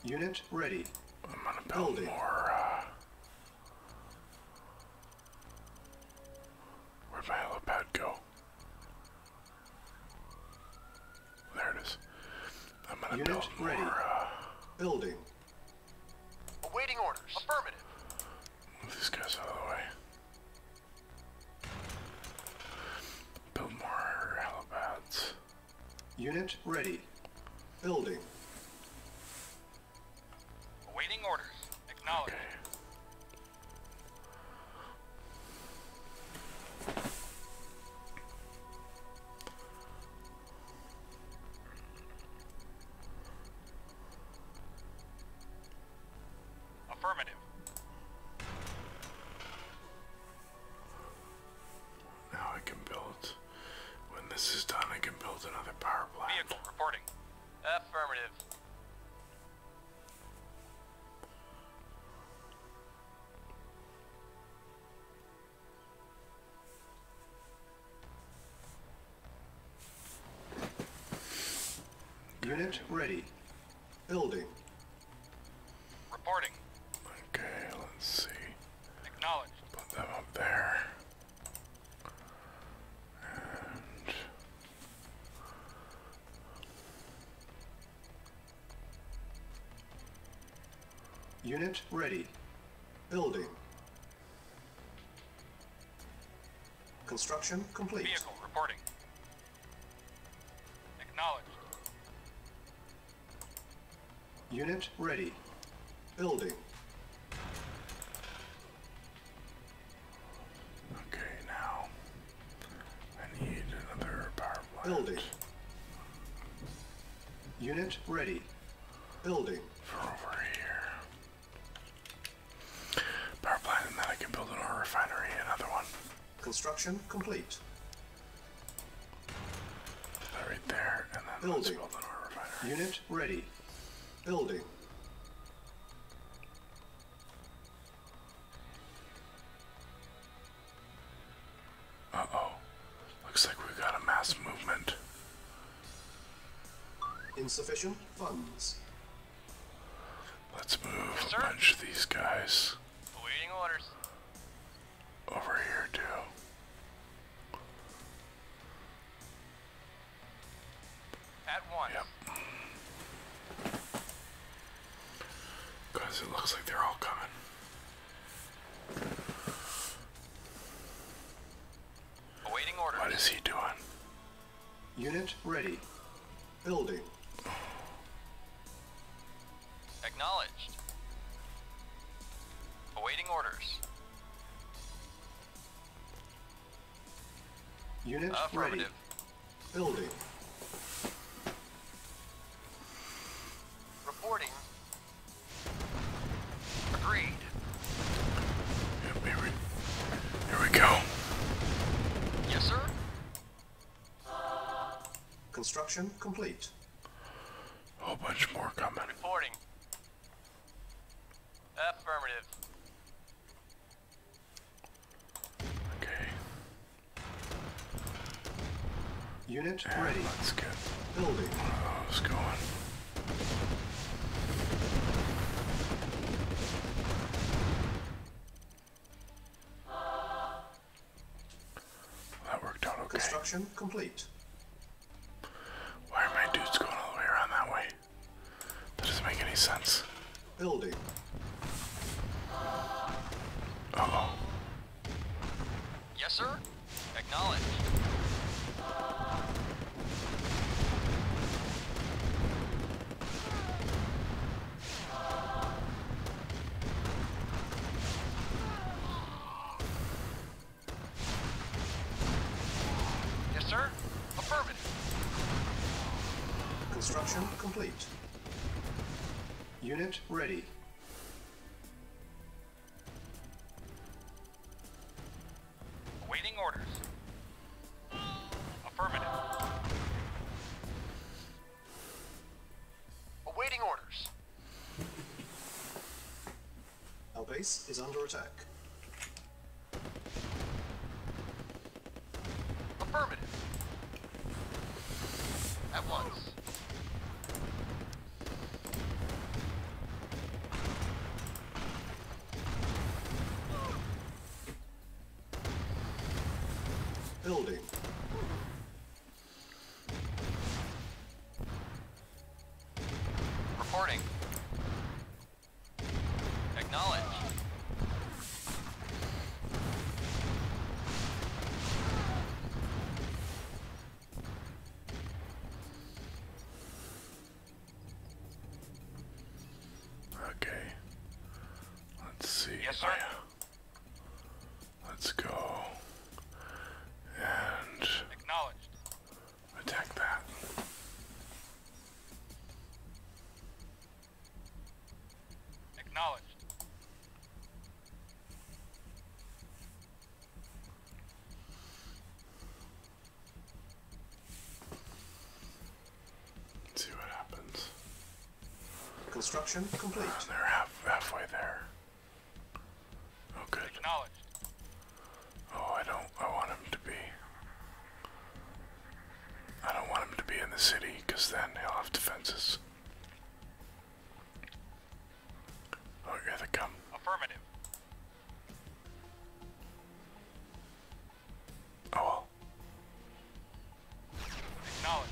Unit ready. I'm gonna build more. Uh, where'd my helipad go? There it is. I'm gonna build more. Uh, building. Awaiting orders. Affirmative. Move these guys out of the way. Build more helipads. Unit ready. Building. Awaiting orders. Acknowledged. Affirmative. Now I can build. When this is done, I can build another power plant. Vehicle reporting. Affirmative. Unit ready. Building. Reporting. Okay, let's see. Acknowledged. Put them up there. And Unit ready. Building. Construction complete. Vehicle reporting. Acknowledged. Unit ready. Building. Okay, now I need another power plant. Building. Unit ready. Building for over here. Power plant, and then I can build an ore refinery, another one. Construction complete. right there, and then build an ore refinery. Unit ready. Building. Uh oh. Looks like we've got a mass movement. Insufficient funds. Let's move punch these guys. Over here too. At once. Yep. Because it looks like they're all coming. What is he doing? Unit ready. Building. Acknowledged. Awaiting orders. Unit ready. Building. Reporting Agreed. here, we, go. Yes, sir. Construction complete. A whole bunch more coming. Affirmative. Okay. Unit ready. Let's get building. One of those going. That worked out okay. Construction complete. Why are my dudes going all the way around that way? That doesn't make any sense. Building. oh. Yes, sir? Acknowledge. Yes, sir. Affirmative. Construction complete. Unit ready. Awaiting orders. Affirmative. Awaiting orders. Our base is under attack. Affirmative. At once. Building. Reporting. Acknowledge. Okay. Let's see. Yes, sir. Yeah. Let's go and Attack that. Acknowledged. Let's see what happens. Construction complete. Uh, are half, halfway there. Oh, good. Acknowledged. Oh, I don't. I want him to be. I don't want him to be in the city because then he'll have defenses. Oh, here they come. Affirmative. Oh well. Acknowledge.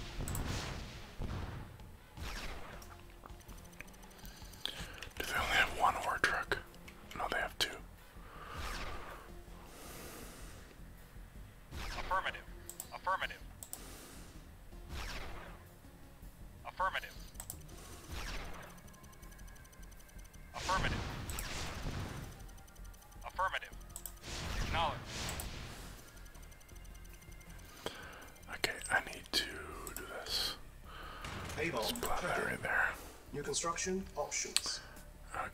Do they only have one ore truck? No, they have two. Affirmative. Affirmative. Affirmative. Affirmative. Affirmative. Acknowledge. Okay, I need to do this. Avon, Splat that there. New construction options.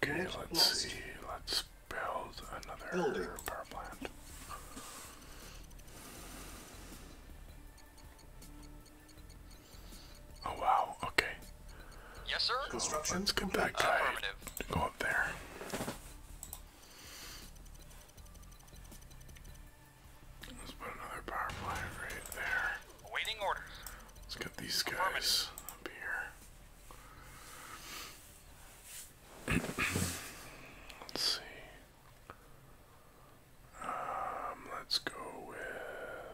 Okay, let's see. Let's build another Building. power plant. Oh wow, okay. Yes, sir. Construction. Let's get that go up there. Let's put another power plant right there. Awaiting orders. Let's get these guys up here. *clears throat* Let's see. Um, let's go with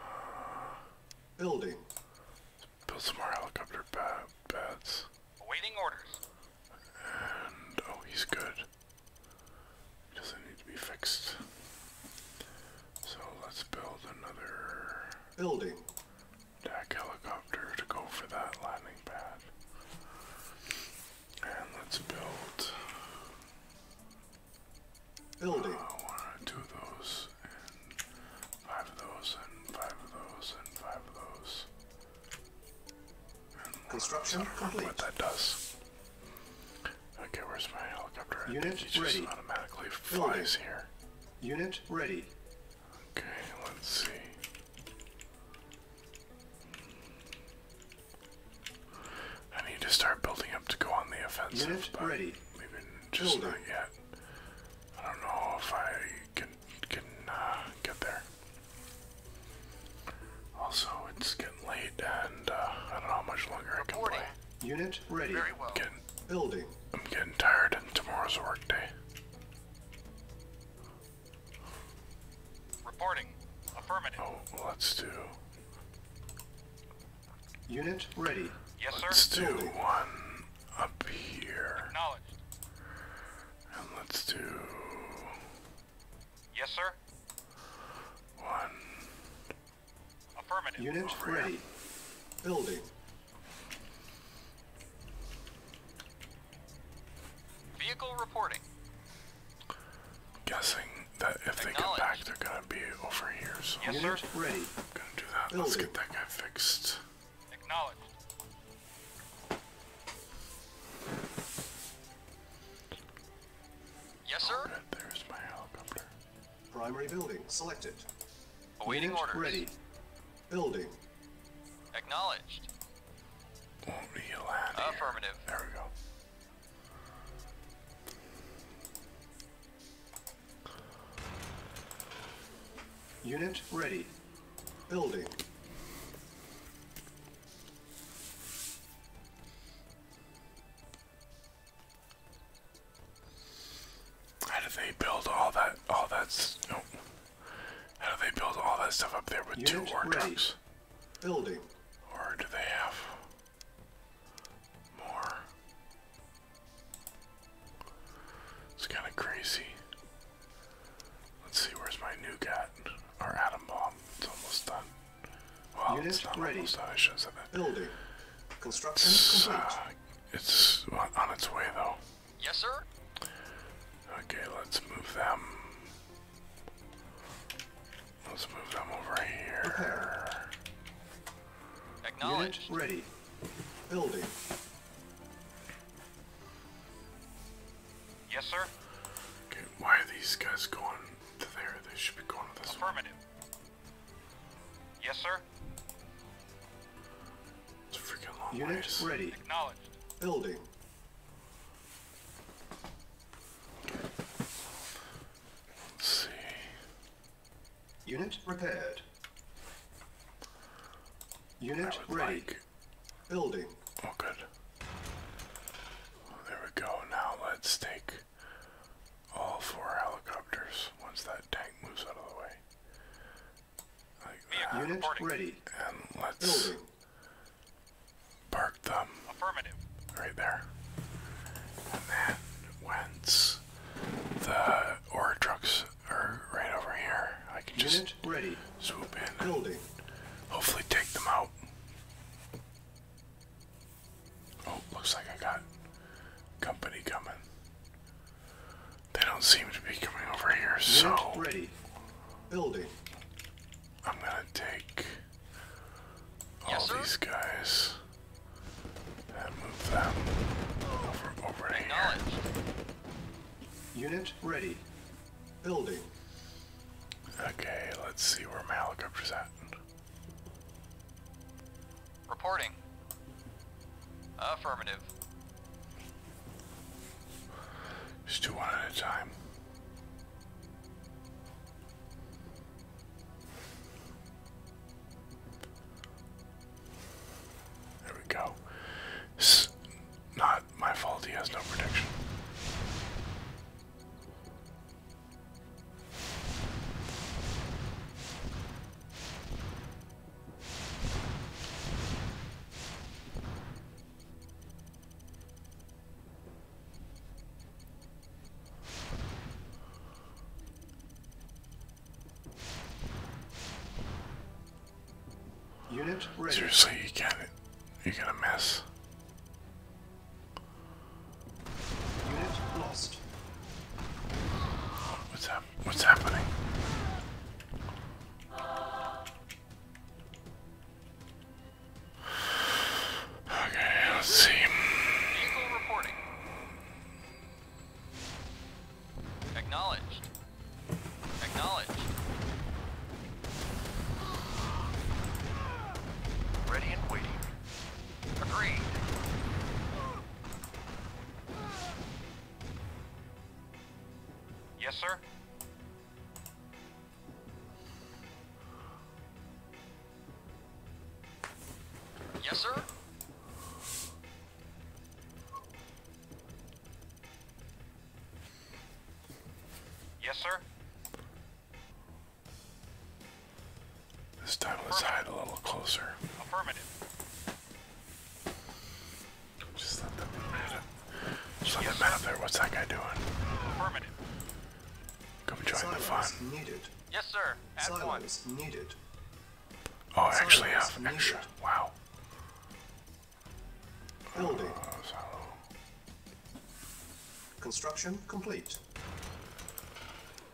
uh, building. Build some more helicopter ba bats. Awaiting orders. And oh, he's good. He doesn't need to be fixed. So let's build another building. Attack helicopter to go for that landing pad. And let's build Building. of those, and five of those, and five of those, and five of those. And What that does. Okay, where's my helicopter? Unit just automatically flies here. Unit ready. Okay, let's see. I need to start building up to go on the offensive, Unit but ready. just not yet. I don't know if I can can uh, get there. Also, it's getting late, and uh, I don't know how much longer I can play. Unit ready. Building. I'm getting tired, and tomorrow's a work day. Reporting. Affirmative. Oh, let's do. Unit ready. Yes, sir. Let's do one up here. Acknowledged. And let's do. Yes, sir. One. Unit ready. Building. Vehicle reporting. Guessing that if they get back, they're gonna be over here. So yes, sir. Gonna do that. Let's get that guy fixed. Acknowledged. Yes, sir. there's my helicopter. Primary building selected. Waiting Unit orders. Ready. Building. Acknowledged. Affirmative. There we go. Unit ready. Building. How do they build all that all that's no how do they build all that stuff up there with two war ready. Building. Or do they have more. It's kind of crazy. Let's see, where's my new gat? Our atom bomb. It's almost done. Well, Unit it's not ready. almost done. I should have said that. Building. Construction it's, uh, it's on its way, though. Yes, sir. Okay, let's move them Let's move them over here. Acknowledged. ready. Building. Yes, sir. why are these guys going to there? They should be going to this Affirmative. Yes, sir. It's a freaking long ways. Acknowledged. Building. Unit repaired. Unit ready. Building. Oh, good. there we go. Now let's take all four helicopters once that tank moves out of the way. Like Unit ready. And let's Park them right there. And then once the ore trucks are right over here, I can just swoop in hopefully take them out. Oh, looks like I got company coming. They don't seem to be coming over here, so ready. Building. I'm gonna take Yes, all these guys. And move them over, over here. Unit ready. Building. Okay, let's see where my helicopter's at. Reporting. Affirmative. Just do at a time. There we go. It's not my fault he has no prediction. Unit ready. Seriously, you got it. You're gonna miss. Unit lost. What's hap What's happening? Okay, let's see. Eagle reporting. Acknowledged. Acknowledged. Ready and waiting. Agreed. Yes, sir. Yes, sir? Yes, sir? This time let's hide a little closer. Affirmative. Just let them let yes, them out there. What's that guy doing? Affirmative. Come join the fun. Yes, sir. At Silence needed. Oh, I actually have an extra. Wow. Building. Oh, Construction complete.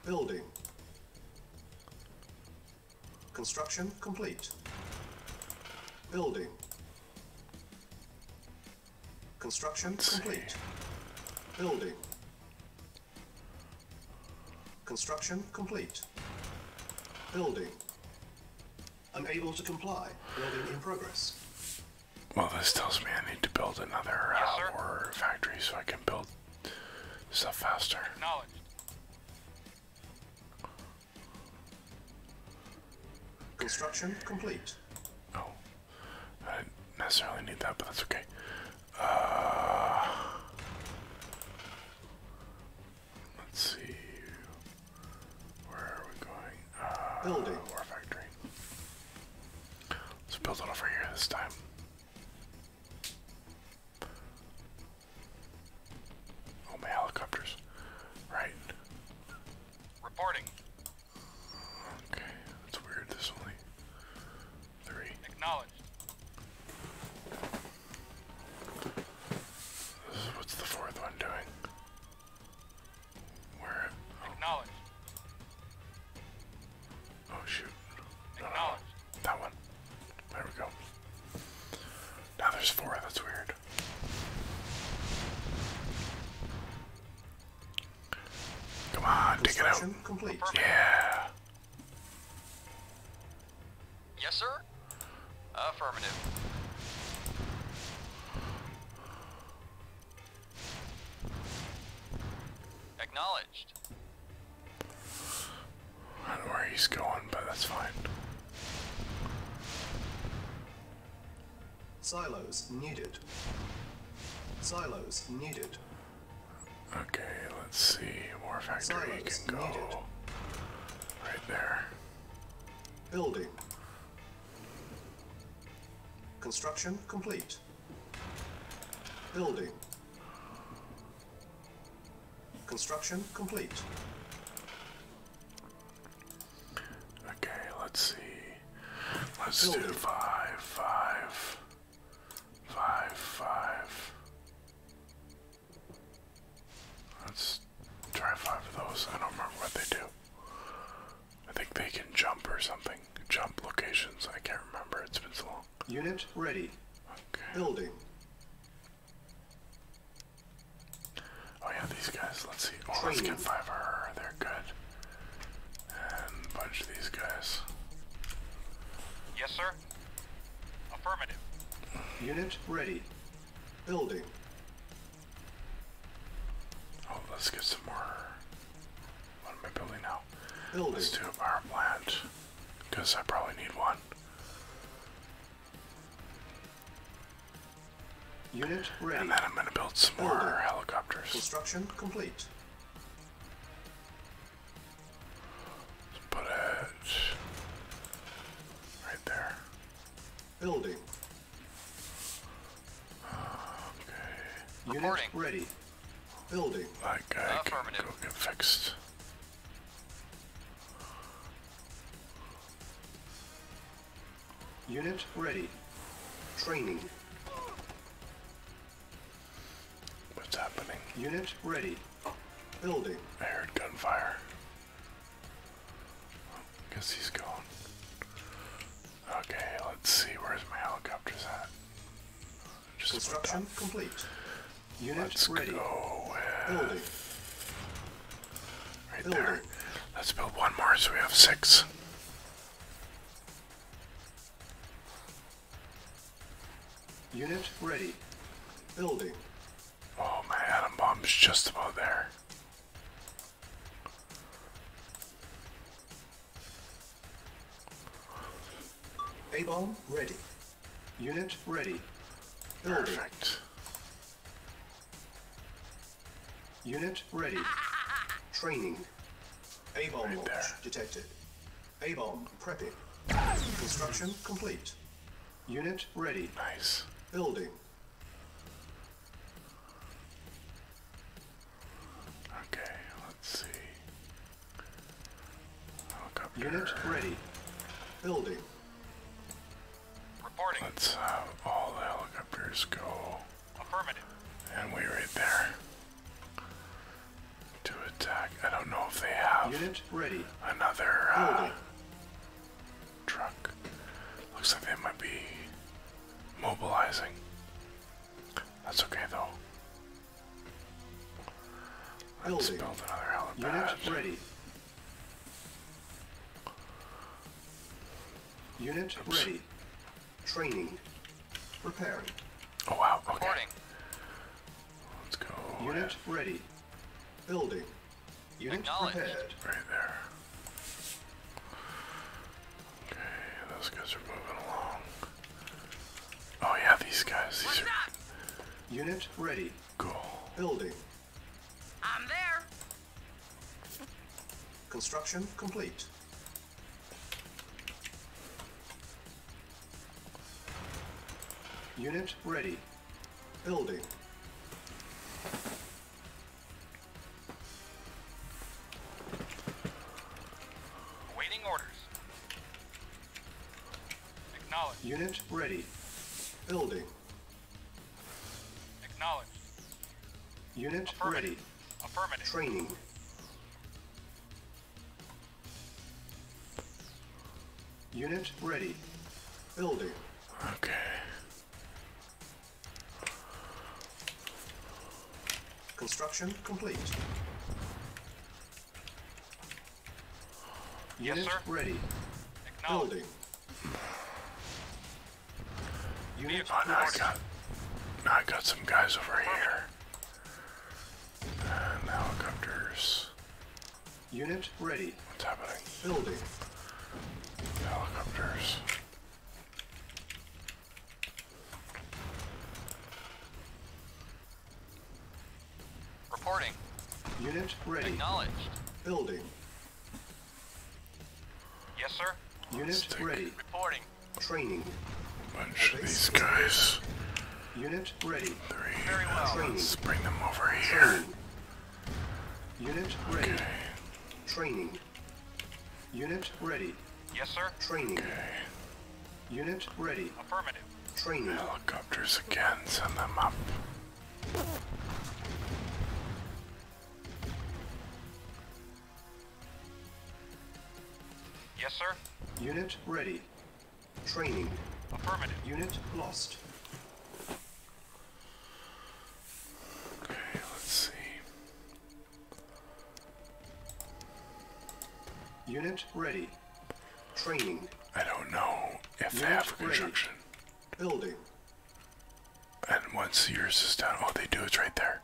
Building. Construction complete. Building. Construction complete. Building. Construction complete. Building. Unable to comply. Building in progress. Well, this tells me I need to build another uh, yes, factory so I can build stuff faster. Acknowledged. Construction complete. Oh. I didn't necessarily need that, but that's okay. Uh, let's see. Where are we going? Uh, Building. War factory. Let's build it over here this time. Oh, my helicopters. Right. Reporting. Okay, that's weird. There's only three. Acknowledged. What's the fourth one doing? Where? Acknowledged. Oh shoot. Acknowledged. that one. There we go. Now there's four. That's weird. Come on, take it out. Yeah. Yes, sir. Affirmative. Acknowledged. I don't know where he's going, but that's fine. Silos needed. Silos needed. Okay, let's see. War factory can go right there. Building. Construction complete. Building. Construction complete. Okay, let's see. Let's do five, five. Five, five. Let's try five of those. I don't remember what they do. I think they can jump or something. Jump locations. I can't remember. It's been so long. Unit ready. Okay. Building. Oh yeah, these guys. Let's see. Oh, let's get five. They're good. And bunch of these guys. Yes, sir. Affirmative. Unit ready. Building. Oh, let's get some more. What am I building now? Building. Let's do a power plant. Because I probably need one. Unit ready. And then I'm going to build some more helicopters. Construction complete put it right there. Building. Okay. Unit ready. Building. That guy can go get fixed. Unit ready. Training. What's happening? Unit ready. Building. I heard gunfire. Guess he's gone. Okay, let's see. Where's my helicopters at? Just Construction complete. Unit let's ready. go Right there. Let's build one more so we have six. Unit ready. Building. Oh, my atom bomb's just about there. A-bomb ready. Unit ready. Perfect. Unit ready. Training. A-bomb right launch detected. A-bomb prep it. Construction complete. Unit ready. Nice. Building. Okay, let's see. Look Unit ready. Building. Reporting. Let's have all the helicopters go. Affirmative. And we right there to attack. I don't know if they have Unit ready. another uh, truck. Looks like they might be mobilizing. That's okay though. I'll Building. build another helipad. Unit ready. Unit ready. Training. preparing. Oh wow, okay. Let's go. Unit ready. Building. Unit prepared. Right there. Okay, those guys are moving along. Oh yeah, these guys. These What's are. Unit ready. Go. Building. I'm there. Construction complete. Unit ready. Building. Awaiting orders. Acknowledged. Unit ready. Building. Acknowledged. Unit ready. Training. Unit ready. Building. Okay. Construction complete. Unit ready. Building. Unit oh, I got now I got some guys over here helicopters. Unit ready. What's happening? Building. Helicopters. Reporting. Unit ready. Acknowledged. Building. Yes, sir. Unit ready. Reporting. Training. Bunch of these guys. Unit ready. Three. Let's bring them over here. Unit ready. Training. Unit ready. Yes, sir. Training. Unit ready. Affirmative. Training. Helicopters again. Send them up. Yes, sir. Unit ready. Training. Affirmative. Unit lost. Okay, let's see. Unit ready. Training. I don't know if Unit they have construction. Building. And once yours is done, all oh, they do is right there.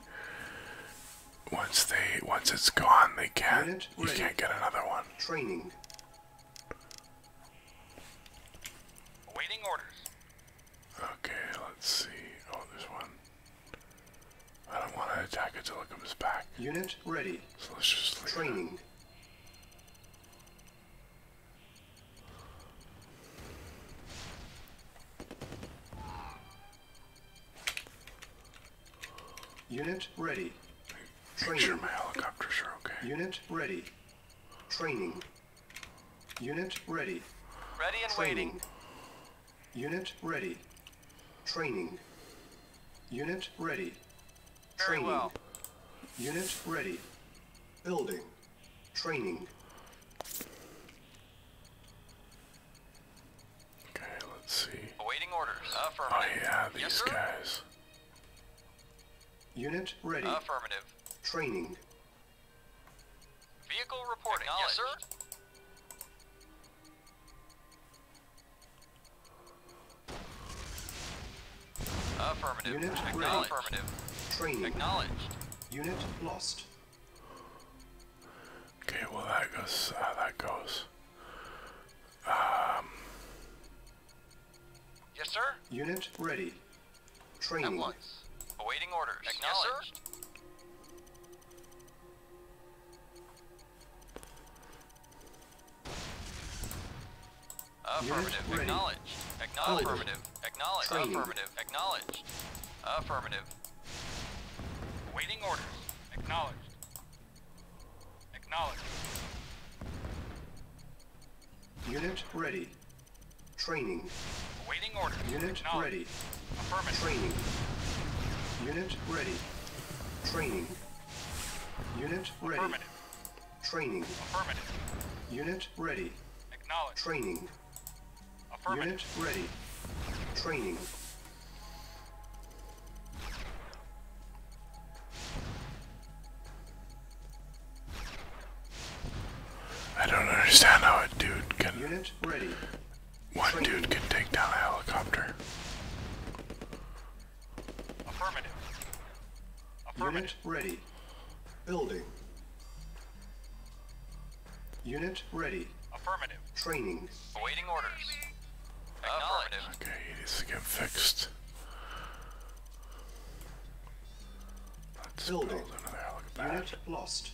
Once they once it's gone, they can't you can't get another one. Training. Waiting orders. Okay, let's see. Oh, there's one. I don't want to attack it till it comes back. Unit ready. Training. Unit ready. Training. Make sure my helicopters are okay. Unit ready. Training. Unit ready. Ready and Training. Unit ready. Training. Unit ready. Very well. Unit ready. Building. Training. Okay, let's see. Awaiting orders. Affirmative. Oh yeah, these guys. Unit ready. Affirmative. Training. Vehicle reporting. Yes, sir. Affirmative. Unit Acknowledged. Affirmative. Training. Acknowledged. Unit lost. Okay, well that goes. Uh, that goes. Um, yes, sir. Unit ready. Training. Employees. Awaiting orders. Acknowledged. Yes, sir. Affirmative. Acknowledged. Acknowledged. Affirmative. Acknowledged. Affirmative. Acknowledged. Affirmative. Waiting orders. Acknowledged. Acknowledged. Unit ready. Training. Awaiting order. Unit ready. Affirmative. Training. Unit ready. Training. Unit ready. Affirmative. Training. Affirmative. Unit ready. Acknowledged. Training. Affirmative. Unit ready. Training. I don't understand how a dude can. Unit ready. One dude can take down a helicopter. Affirmative. Affirmative. Unit ready. Building. Unit ready. Affirmative. Training. Awaiting orders. Acknowledged. Okay, needs to get fixed. Building. Unit lost.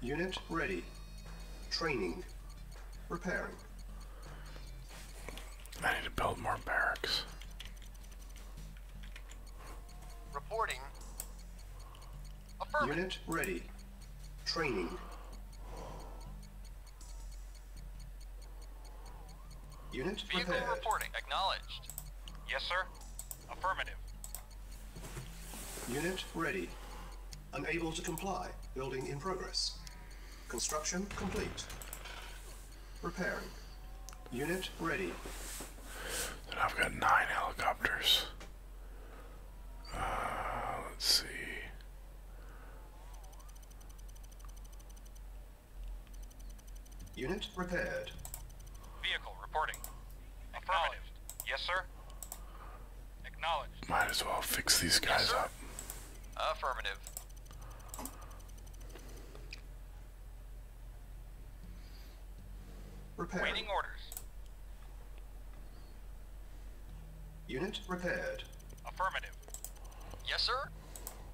Unit ready. Training. Repairing. I need to build more barracks. Reporting. Unit ready. Training. Unit reporting. Acknowledged. Yes, sir. Affirmative. Unit ready. Unable to comply. Building in progress. Construction complete. Repairing. Unit ready. Then I've got nine helicopters. Uh, let's see. Unit repaired. Vehicle reporting. Acknowledged. Yes, sir. Acknowledged. Might as well fix these guys up. Affirmative. Repairing. Waiting orders. Unit repaired. Affirmative. Yes, sir?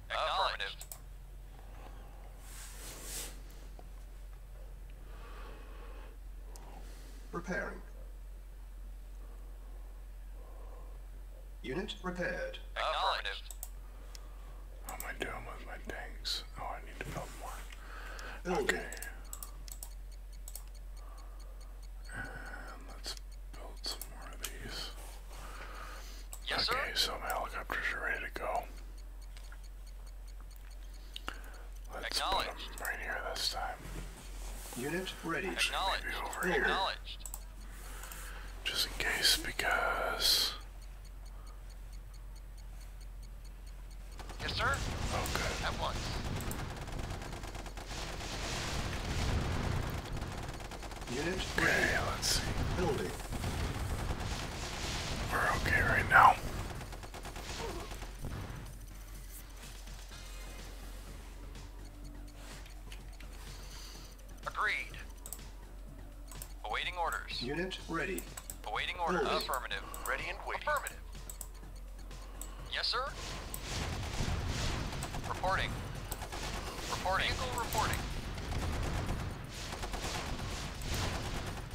Affirmative. Repairing. Unit repaired. Acknowledged. How am I doing with my tanks? Oh, I need to build more. Okay. Yes, okay, sir? so helicopters are ready to go. Let's put them right here this time. Unit ready. Acknowledged. Over Here. Just in case, because. Yes, sir. Okay. Oh, At once. Unit okay, let's see. We're okay right now. Agreed. Awaiting orders. Unit ready. Awaiting orders. Affirmative. Ready and waiting. Affirmative. Yes, sir. Reporting. Reporting. Vehicle reporting.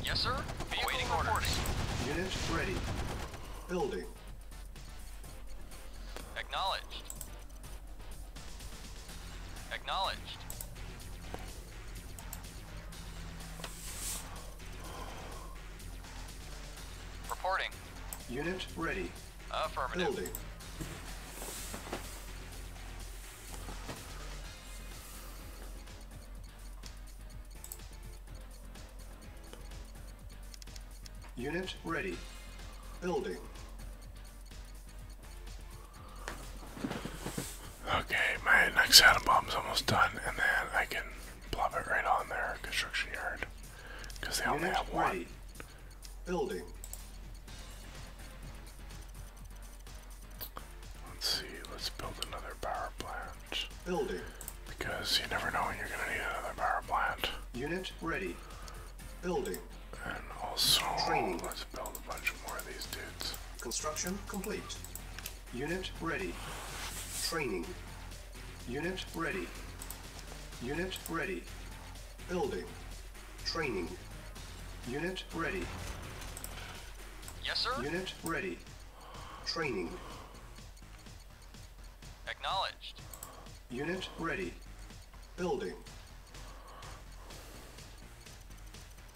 Yes, sir. Vehicle reporting. Orders. ready. Building. Acknowledged. Acknowledged. Reporting. Unit ready. Affirmative. Unit ready. Building. Okay, my next atom bomb's almost done, and then I can plop it right on their construction yard. Because they only have one. Building. Let's see, let's build another power plant. Building. Because you never know when you're going to need another power plant. Unit ready. Building. And also, let's build a bunch more of these dudes. Construction complete. Unit ready. Training. Unit ready. Unit ready. Building. Training. Unit ready. Yes, sir. Unit ready. Training. Acknowledged. Unit ready. Building.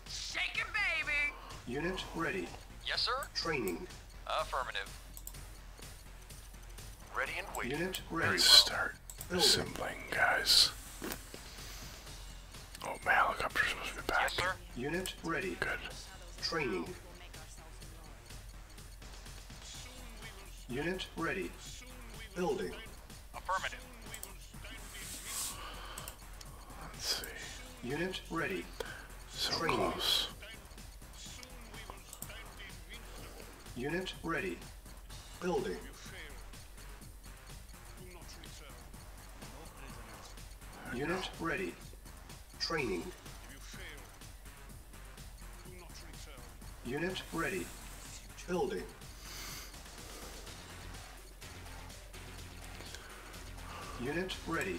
Shake it, baby! Unit ready. Yes, sir. Training. Affirmative. Ready and waiting. Unit ready. Let's start Building. assembling, guys. Oh, my helicopter's supposed to be back. Yes, sir. Unit ready. Good. Training. Unit ready. Building. Affirmative. Let's see. Unit ready. So Training. close. Unit ready. Building. Unit ready. Training. Unit ready. Building. Unit ready.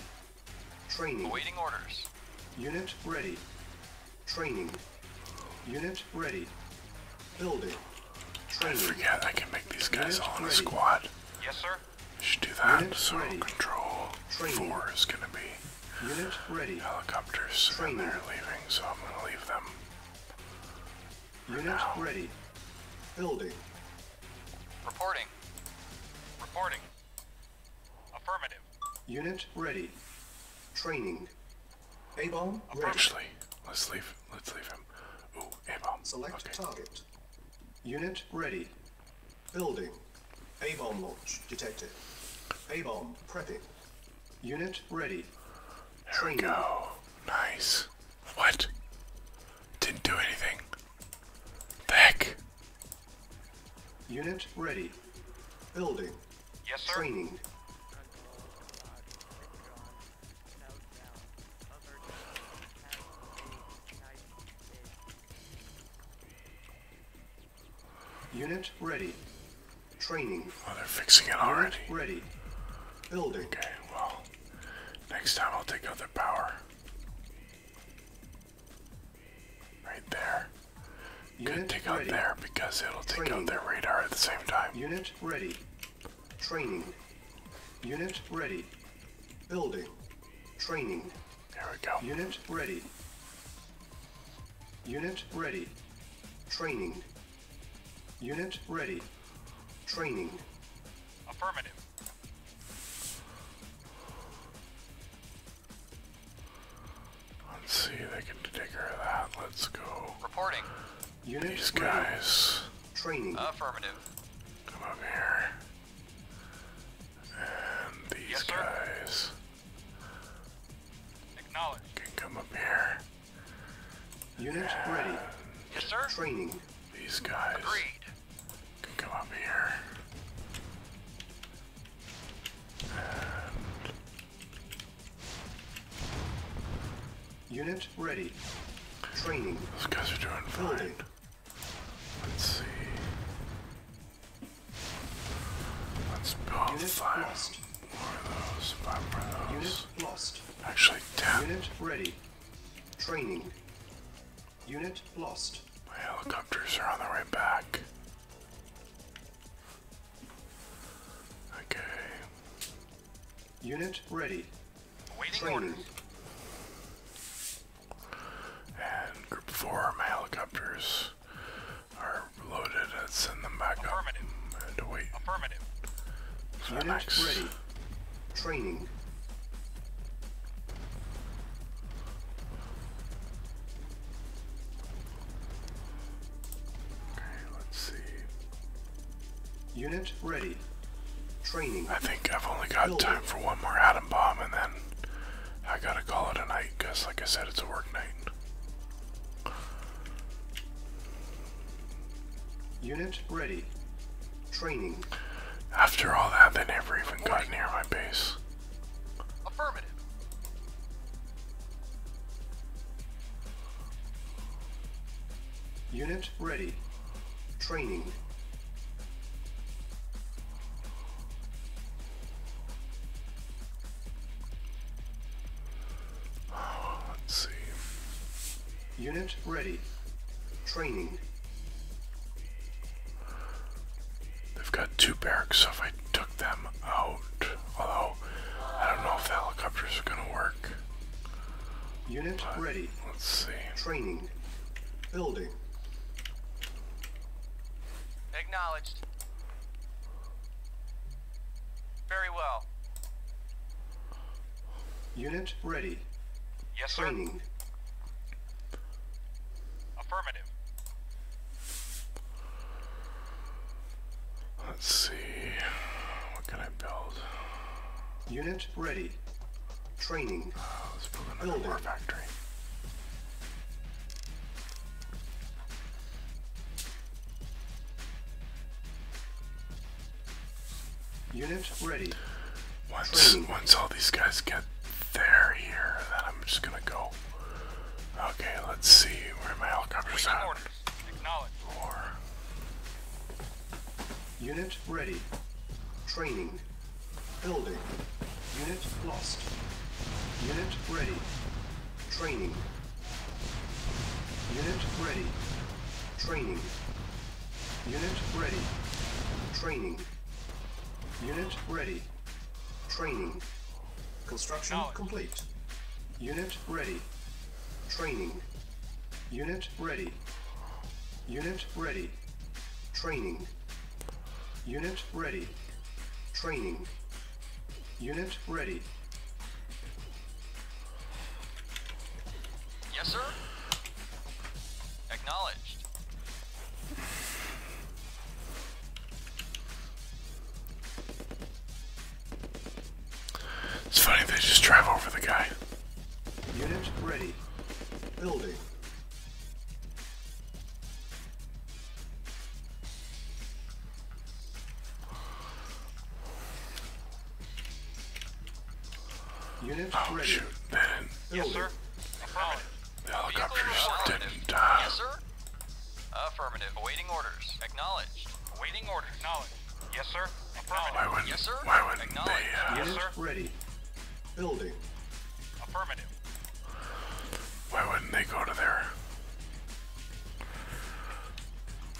Training. Awaiting orders. Unit ready. Training. Unit ready. Building. Training. I forget I can make these guys all in a squad. Yes, sir. I should do that. Unit so ready. control four is gonna be Unit ready. helicopters, Training. and they're leaving, so I'm gonna leave them. Unit ready. Building. Reporting. Reporting. Affirmative. Unit ready. Training. A-bomb ready. Actually, let's leave. Let's leave him. Ooh, A-bomb. Select okay. target. Unit ready. Building. A-bomb launch detected. A-bomb prepping. Unit ready. There we go. Nice. What? Didn't do anything. The Unit ready. Building. Training. Unit ready. Training. Oh, they're fixing it already. Ready. Building. Okay, well, next time I'll take out their power. Right there. Good take ready. there because it'll take Training. out their radar at the same time. Unit ready. Training. Unit ready. Building. Training. There we go. Unit ready. Unit ready. Training. Unit ready. Training. Affirmative. Let's see, if they can take care of that. Let's go. Reporting. Unit These ready. guys. Training. Affirmative. Come up here. And these yes, guys. Acknowledge. Can come up here. Unit ready. Yes, sir. Training. These guys. Agreed. Can come up here. Unit ready. Training. Those guys are doing fine. Let's see. Let's build Unit five lost. more those. Five more those. lost. Actually, ten. Unit ready. Training. Unit lost. My helicopters are on their way back. Okay. Unit ready. Waiting orders. And group four, helicopters are loaded and send them back Affirmative. up and wait. Affirmative. So ready. Training. I think I've only got time for one more atom bomb, and then I gotta call it a night, because, like I said, it's a work night. Unit ready. Training. After all that, they never even got near my base. Affirmative. Unit ready. Training. Let's see. Unit ready. Training. They've got two barracks, so if I took them out, although I don't know if the helicopters are gonna work. Unit ready. Let's see. Training. Building. Acknowledged. Very well. Unit ready. Yes, Training. Affirmative. Let's see. What can I build? Unit ready. Training. Uh, let's build another Building. war factory. Unit ready. Once once all these guys get there here, then I'm just gonna go Okay, let's see where my helicopter's at. War. Unit ready. Training. Building. Unit lost. Unit ready. Training. Unit ready. Training. Unit ready. Training. Unit ready. Training. Construction complete. Unit ready. Training. Unit ready. Unit ready. Training. Unit ready. Training. Unit ready. Yes, sir. Acknowledged. It's funny they just drive over the guy. Units ready. Building. Units oh, ready. shoot. They Yes, sir. The helicopters didn't. Uh, yes, sir. Affirmative. Waiting orders. Acknowledged. Waiting orders. Acknowledged. Yes, sir. Affirmative. Why yes, sir. Why would Acknowledged. They, uh, yes, sir. Ready. Building. Affirmative. Why wouldn't they go to their...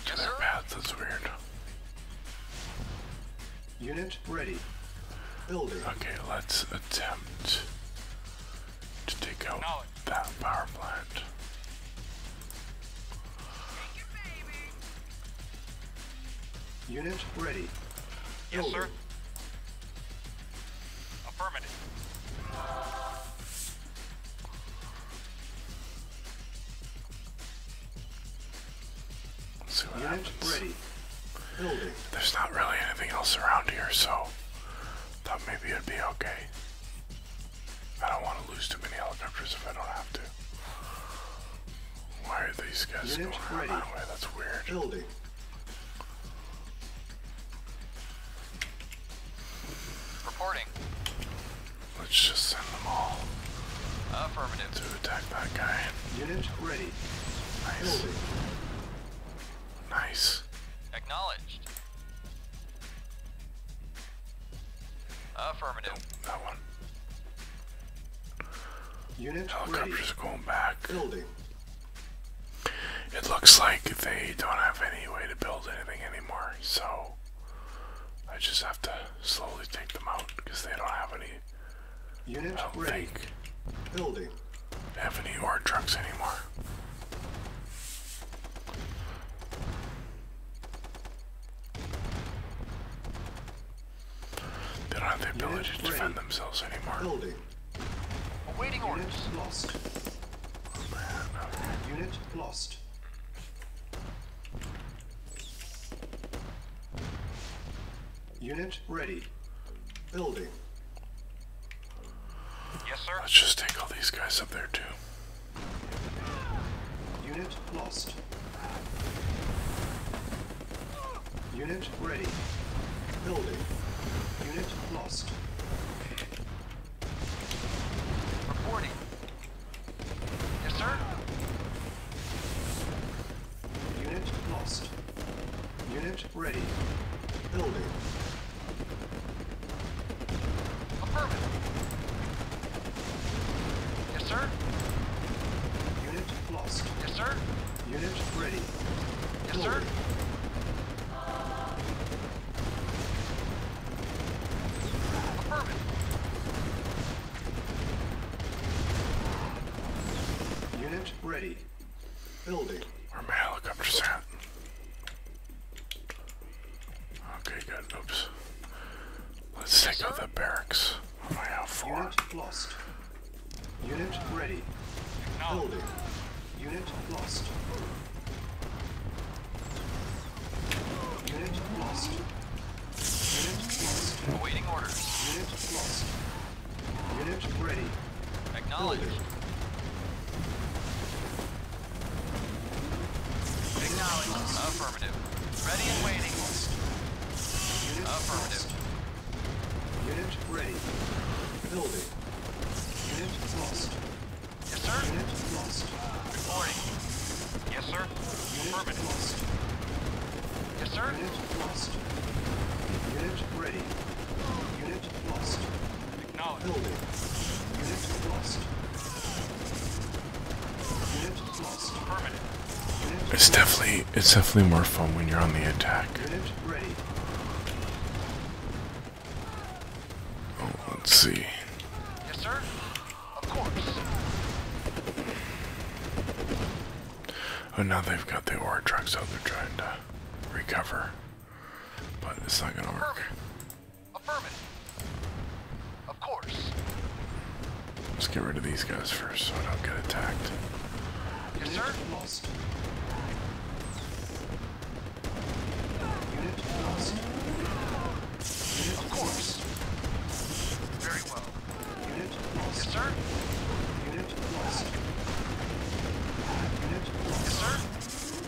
To their sir. That's weird. Unit ready. Building. Okay, let's attempt to take out that power plant. Unit ready. Yes, sir. Affirmative. see what happens. There's not really anything else around here, so thought maybe it'd be okay. I don't want to lose too many helicopters if I don't have to. Why are these guys going ready. out way? That's weird. Building. Reporting. Let's just send them all. Affirmative. To attack that guy. Unit ready. Nice. Nice. Acknowledged. Affirmative. Nope, that one. Unit Helicopters ready. going back. Building. It looks like they don't have any way to build anything anymore, so I just have to slowly take them out because they don't have any. Unit I Building. have any ore trucks anymore. They are not have the ability to defend themselves anymore. Building. Awaiting orders. Lost. Oh, Unit lost. Unit ready. Building. Yes, sir. Let's just take all these guys up there, too. Unit lost. Unit ready. Building. Unit lost. Reporting. Yes, sir. Unit lost. Unit ready. Building. Yes, sir. Unit lost. Yes, sir. Unit ready. Yes, Go. sir. Unit ready. Building. Where my helicopter's at? Okay, good. Oops. Let's take out the barracks. I have four. Unit lost. Unit ready. Building. Unit lost. Unit lost. Unit lost. Unit ready. Acknowledged. Acknowledged. Affirmative. Ready and waiting. Unit Affirmative. Lost. Unit ready. Building. Unit lost. Yes, sir. Unit lost. Reporting. Yes, sir. Unit Affirmative. Lost. Yes, sir. Unit lost. Unit ready. Unit lost. It's definitely it's definitely more fun when you're on the attack. Oh, let's see. Yes, sir. Of course. Oh, now they've got the ore trucks out. They're trying to recover, but it's not gonna work. Affirmative. Of course. Let's get rid of these guys first so I don't get attacked. Yes, Lost. Unit lost. Unit of course. Very well. Unit lost. Yes, sir. Unit lost. Unit lost. Yes, sir.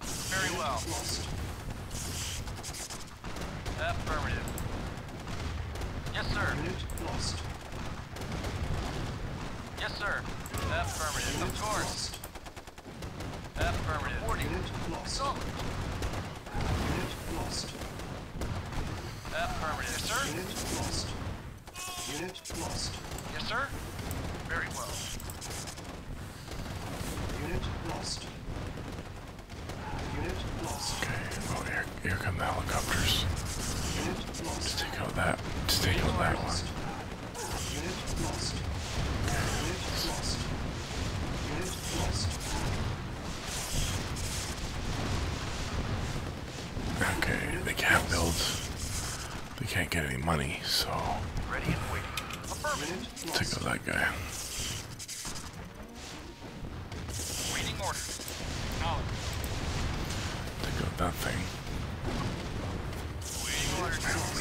Very well. Affirmative. Yes, sir. Unit lost. Yes, sir. Affirmative. Unit of course. Lost. Affirmative. Reporting. Unit lost. Solid. Unit lost. Affirmative, yes, sir. Unit lost. Unit lost. Yes, sir. Very well. Unit lost. Okay. Oh, here, here come the helicopters. Unit lost. take out that. To take out that one. Okay. they can't build. They can't get any money, so. Take out that guy. Waiting order. Take out that thing.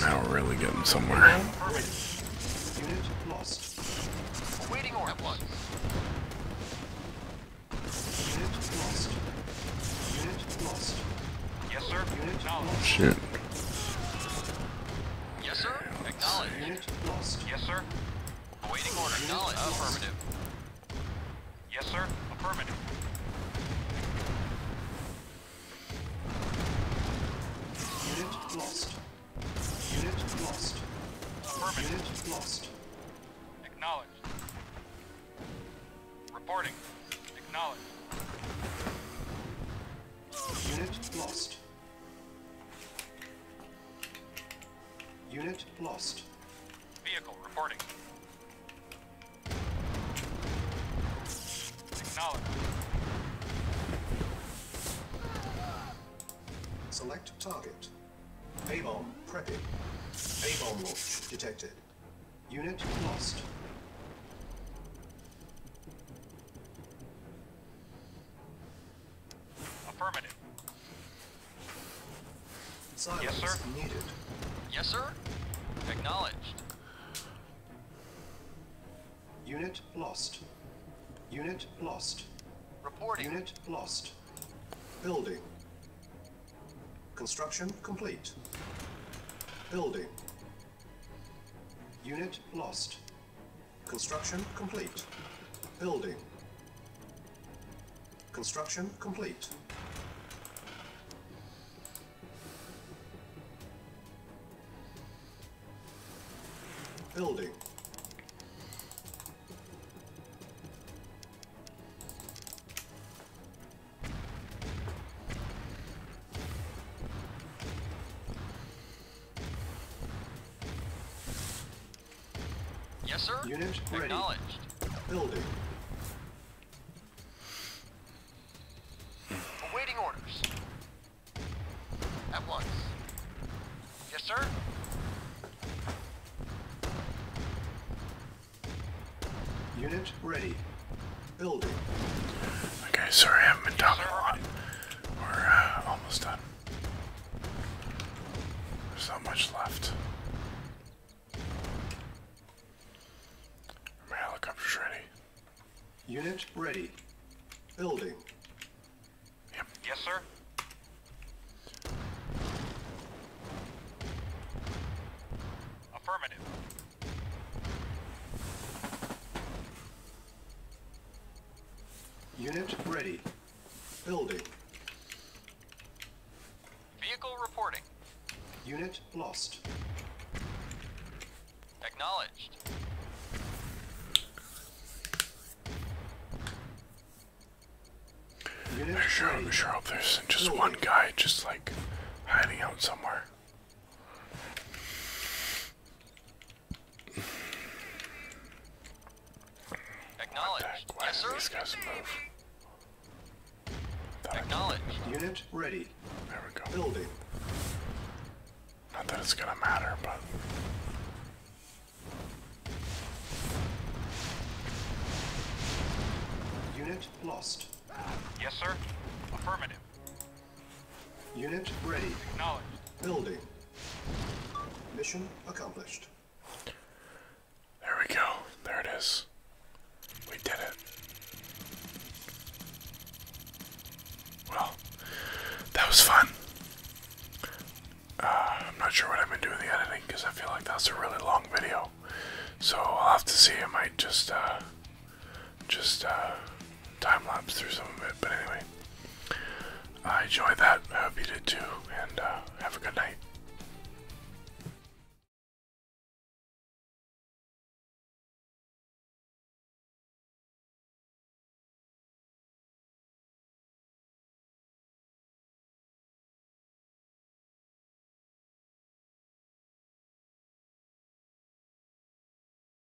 now we're really getting somewhere. Unit lost. Waiting order. Unit lost. Unit lost. Shit. Yes, sir. Acknowledge. Yes, sir. Awaiting order. Acknowledge. Affirmative. Yes, sir. Affirmative. Unit lost. Unit lost. Affirmative. Unit lost. Acknowledged. Reporting. Acknowledged. Unit lost. Unit lost. Vehicle reporting. Acknowledged. Select target. A-bomb prepping. A-bomb launch detected. Unit lost. Affirmative. Silence yes, sir. Needed. Yes, sir. Acknowledged. Unit lost. Unit lost. Reporting. Unit lost. Building. Construction complete. Building. Unit lost. Construction complete. Building. Construction complete. Building. Yes, sir. Unit ready. Acknowledged. Building. Awaiting orders. At once. Yes, sir. Unit ready. Building. Okay, sorry I haven't been talking yes, a we're uh, almost done. There's not much left. My helicopter's ready. Unit ready. Building. Yep. Yes, sir. Affirmative. Unit ready. Building. Vehicle reporting. Unit lost. Acknowledged. I'm sure, I'm sure hope there's just one guy just like hiding out somewhere. Acknowledge. yes, sir? Acknowledge. Unit ready. There we go. Building. Not that it's gonna matter, but. Unit lost. Yes, sir. Affirmative. Unit ready. Acknowledged. Building. Mission accomplished. There we go. There it is. We did it. Well, that was fun. Uh, I'm not sure what i have been doing the editing because I feel like that's a really long video. So I'll have to see. I might just uh, just uh, time lapse through some of it. But anyway, I enjoyed that. I hope you did too, and uh, have a good night.